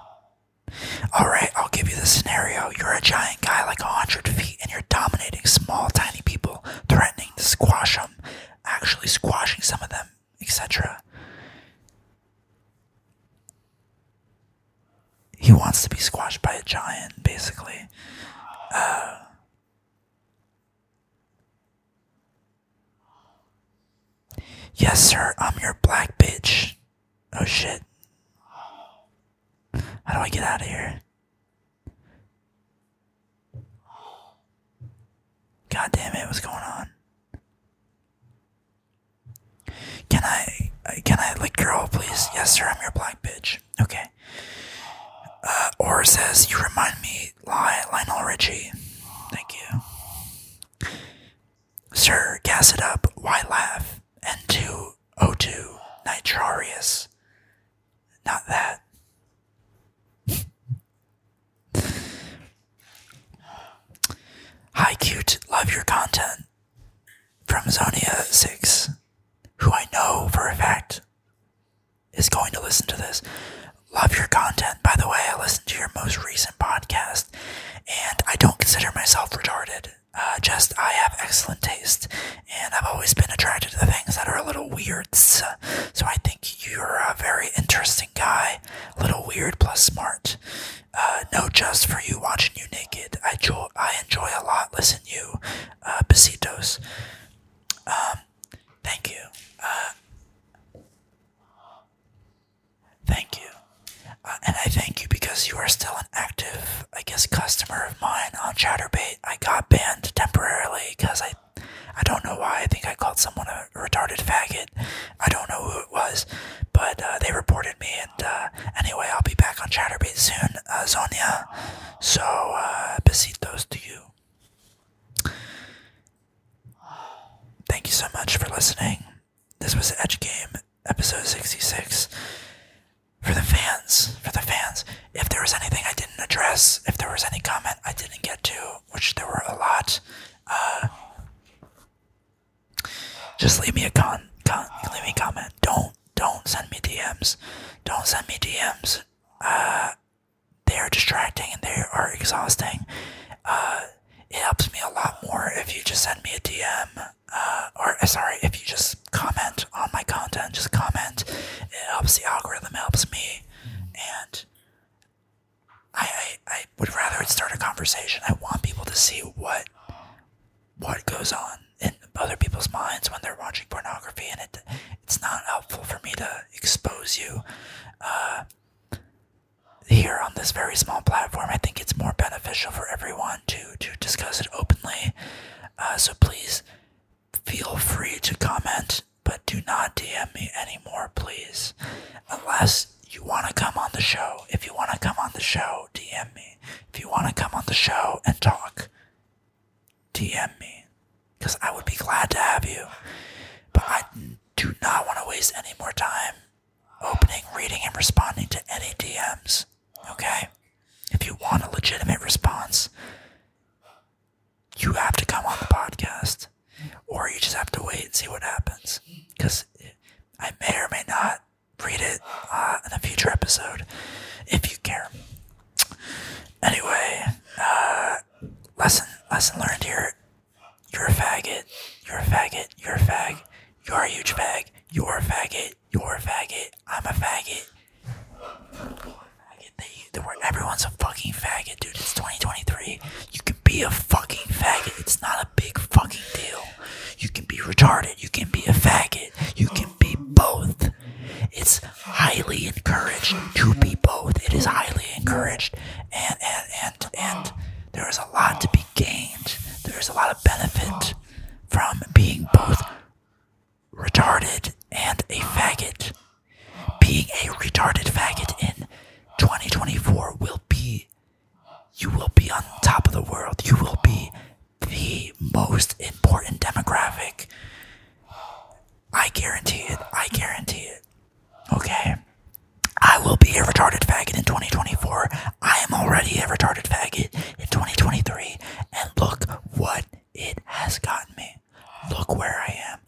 Alright, I'll give you the scenario. You're a giant guy like 100 feet and you're dominating small, tiny people, threatening to squash them, actually squashing some of them etc. He wants to be squashed by a giant, basically. Uh, yes, sir, I'm your black bitch. Oh shit. How do I get out of here? God damn it, what's going on? Can I, uh, can I Like, girl, please? Yes, sir, I'm your black bitch. Okay. Uh, or says, you remind me, Lionel Richie. Thank you. Sir, gas it up, why laugh? N2O2, nitrarius. Not that. Hi, cute. Love your content. From Zonia6, who I know for a fact is going to listen to this. Love your content. By the way, I listened to your most recent podcast, and I don't consider myself retarded. Uh, just I have excellent taste, and I've always been attracted to the things that are a little weird. So I think you're a very interesting guy, a little weird plus smart. Uh, no, just for you watching you naked. I, jo- I enjoy a lot. Listen, you, uh, besitos. Um, thank you. Uh, thank you. Uh, and I thank you because you are still an active, I guess, customer of mine on Chatterbait. I got banned temporarily because I, I don't know why. I think I called someone a retarded faggot, I don't know who it was, but uh, they reported me. And uh, anyway, I'll be back on Chatterbait soon, Zonia. Uh, so, uh, besitos to you. Thank you so much for listening. This was Edge Game, episode 66. For the fans, for the fans, if there was anything I didn't address, if there was any comment I didn't get to, which there were a lot, just leave me a con, leave me comment. Don't don't send me DMs. Don't send me DMs. Uh, they are distracting and they are exhausting. Uh, it helps me a lot more if you just send me a DM. Uh, or sorry, if you just comment on my content, just comment. It helps the algorithm, helps me, and I, I, would rather it start a conversation. I want people to see what what goes on in other people's minds when they're watching pornography, and it it's not helpful for me to expose you uh, here on this very small platform. I think it's more beneficial for everyone to to discuss it openly. Uh, so please feel free to comment, but do not DM me anymore, please, unless you want to come on the show, if you want to come on the show, DM me. If you want to come on the show and talk, DM me. Because I would be glad to have you. But I do not want to waste any more time opening, reading, and responding to any DMs. Okay? If you want a legitimate response, you have to come on the podcast. Or you just have to wait and see what happens. Because I may or may not read it uh, in a future episode if you care. Anyway, uh, lesson lesson learned here. You're a faggot. You're a faggot. You're a fag. You're a huge fag. You're a faggot. You're a faggot. I'm a faggot. everyone's a fucking faggot, dude. It's 2023. You can be a fucking faggot. It's not a big fucking deal. You can be retarded. You can be a faggot. You can be both. It's highly encouraged to be both. It is highly encouraged. And, and, and, and there is a lot to be gained. There is a lot of benefit from being both retarded and a faggot. Being a retarded faggot in 2024 will be you will be on top of the world. You will be the most important demographic. I guarantee it. I guarantee it. Okay. I will be a retarded faggot in 2024. I am already a retarded faggot in 2023. And look what it has gotten me. Look where I am.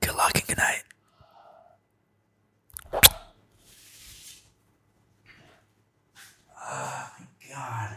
Good luck and good night. Oh my god.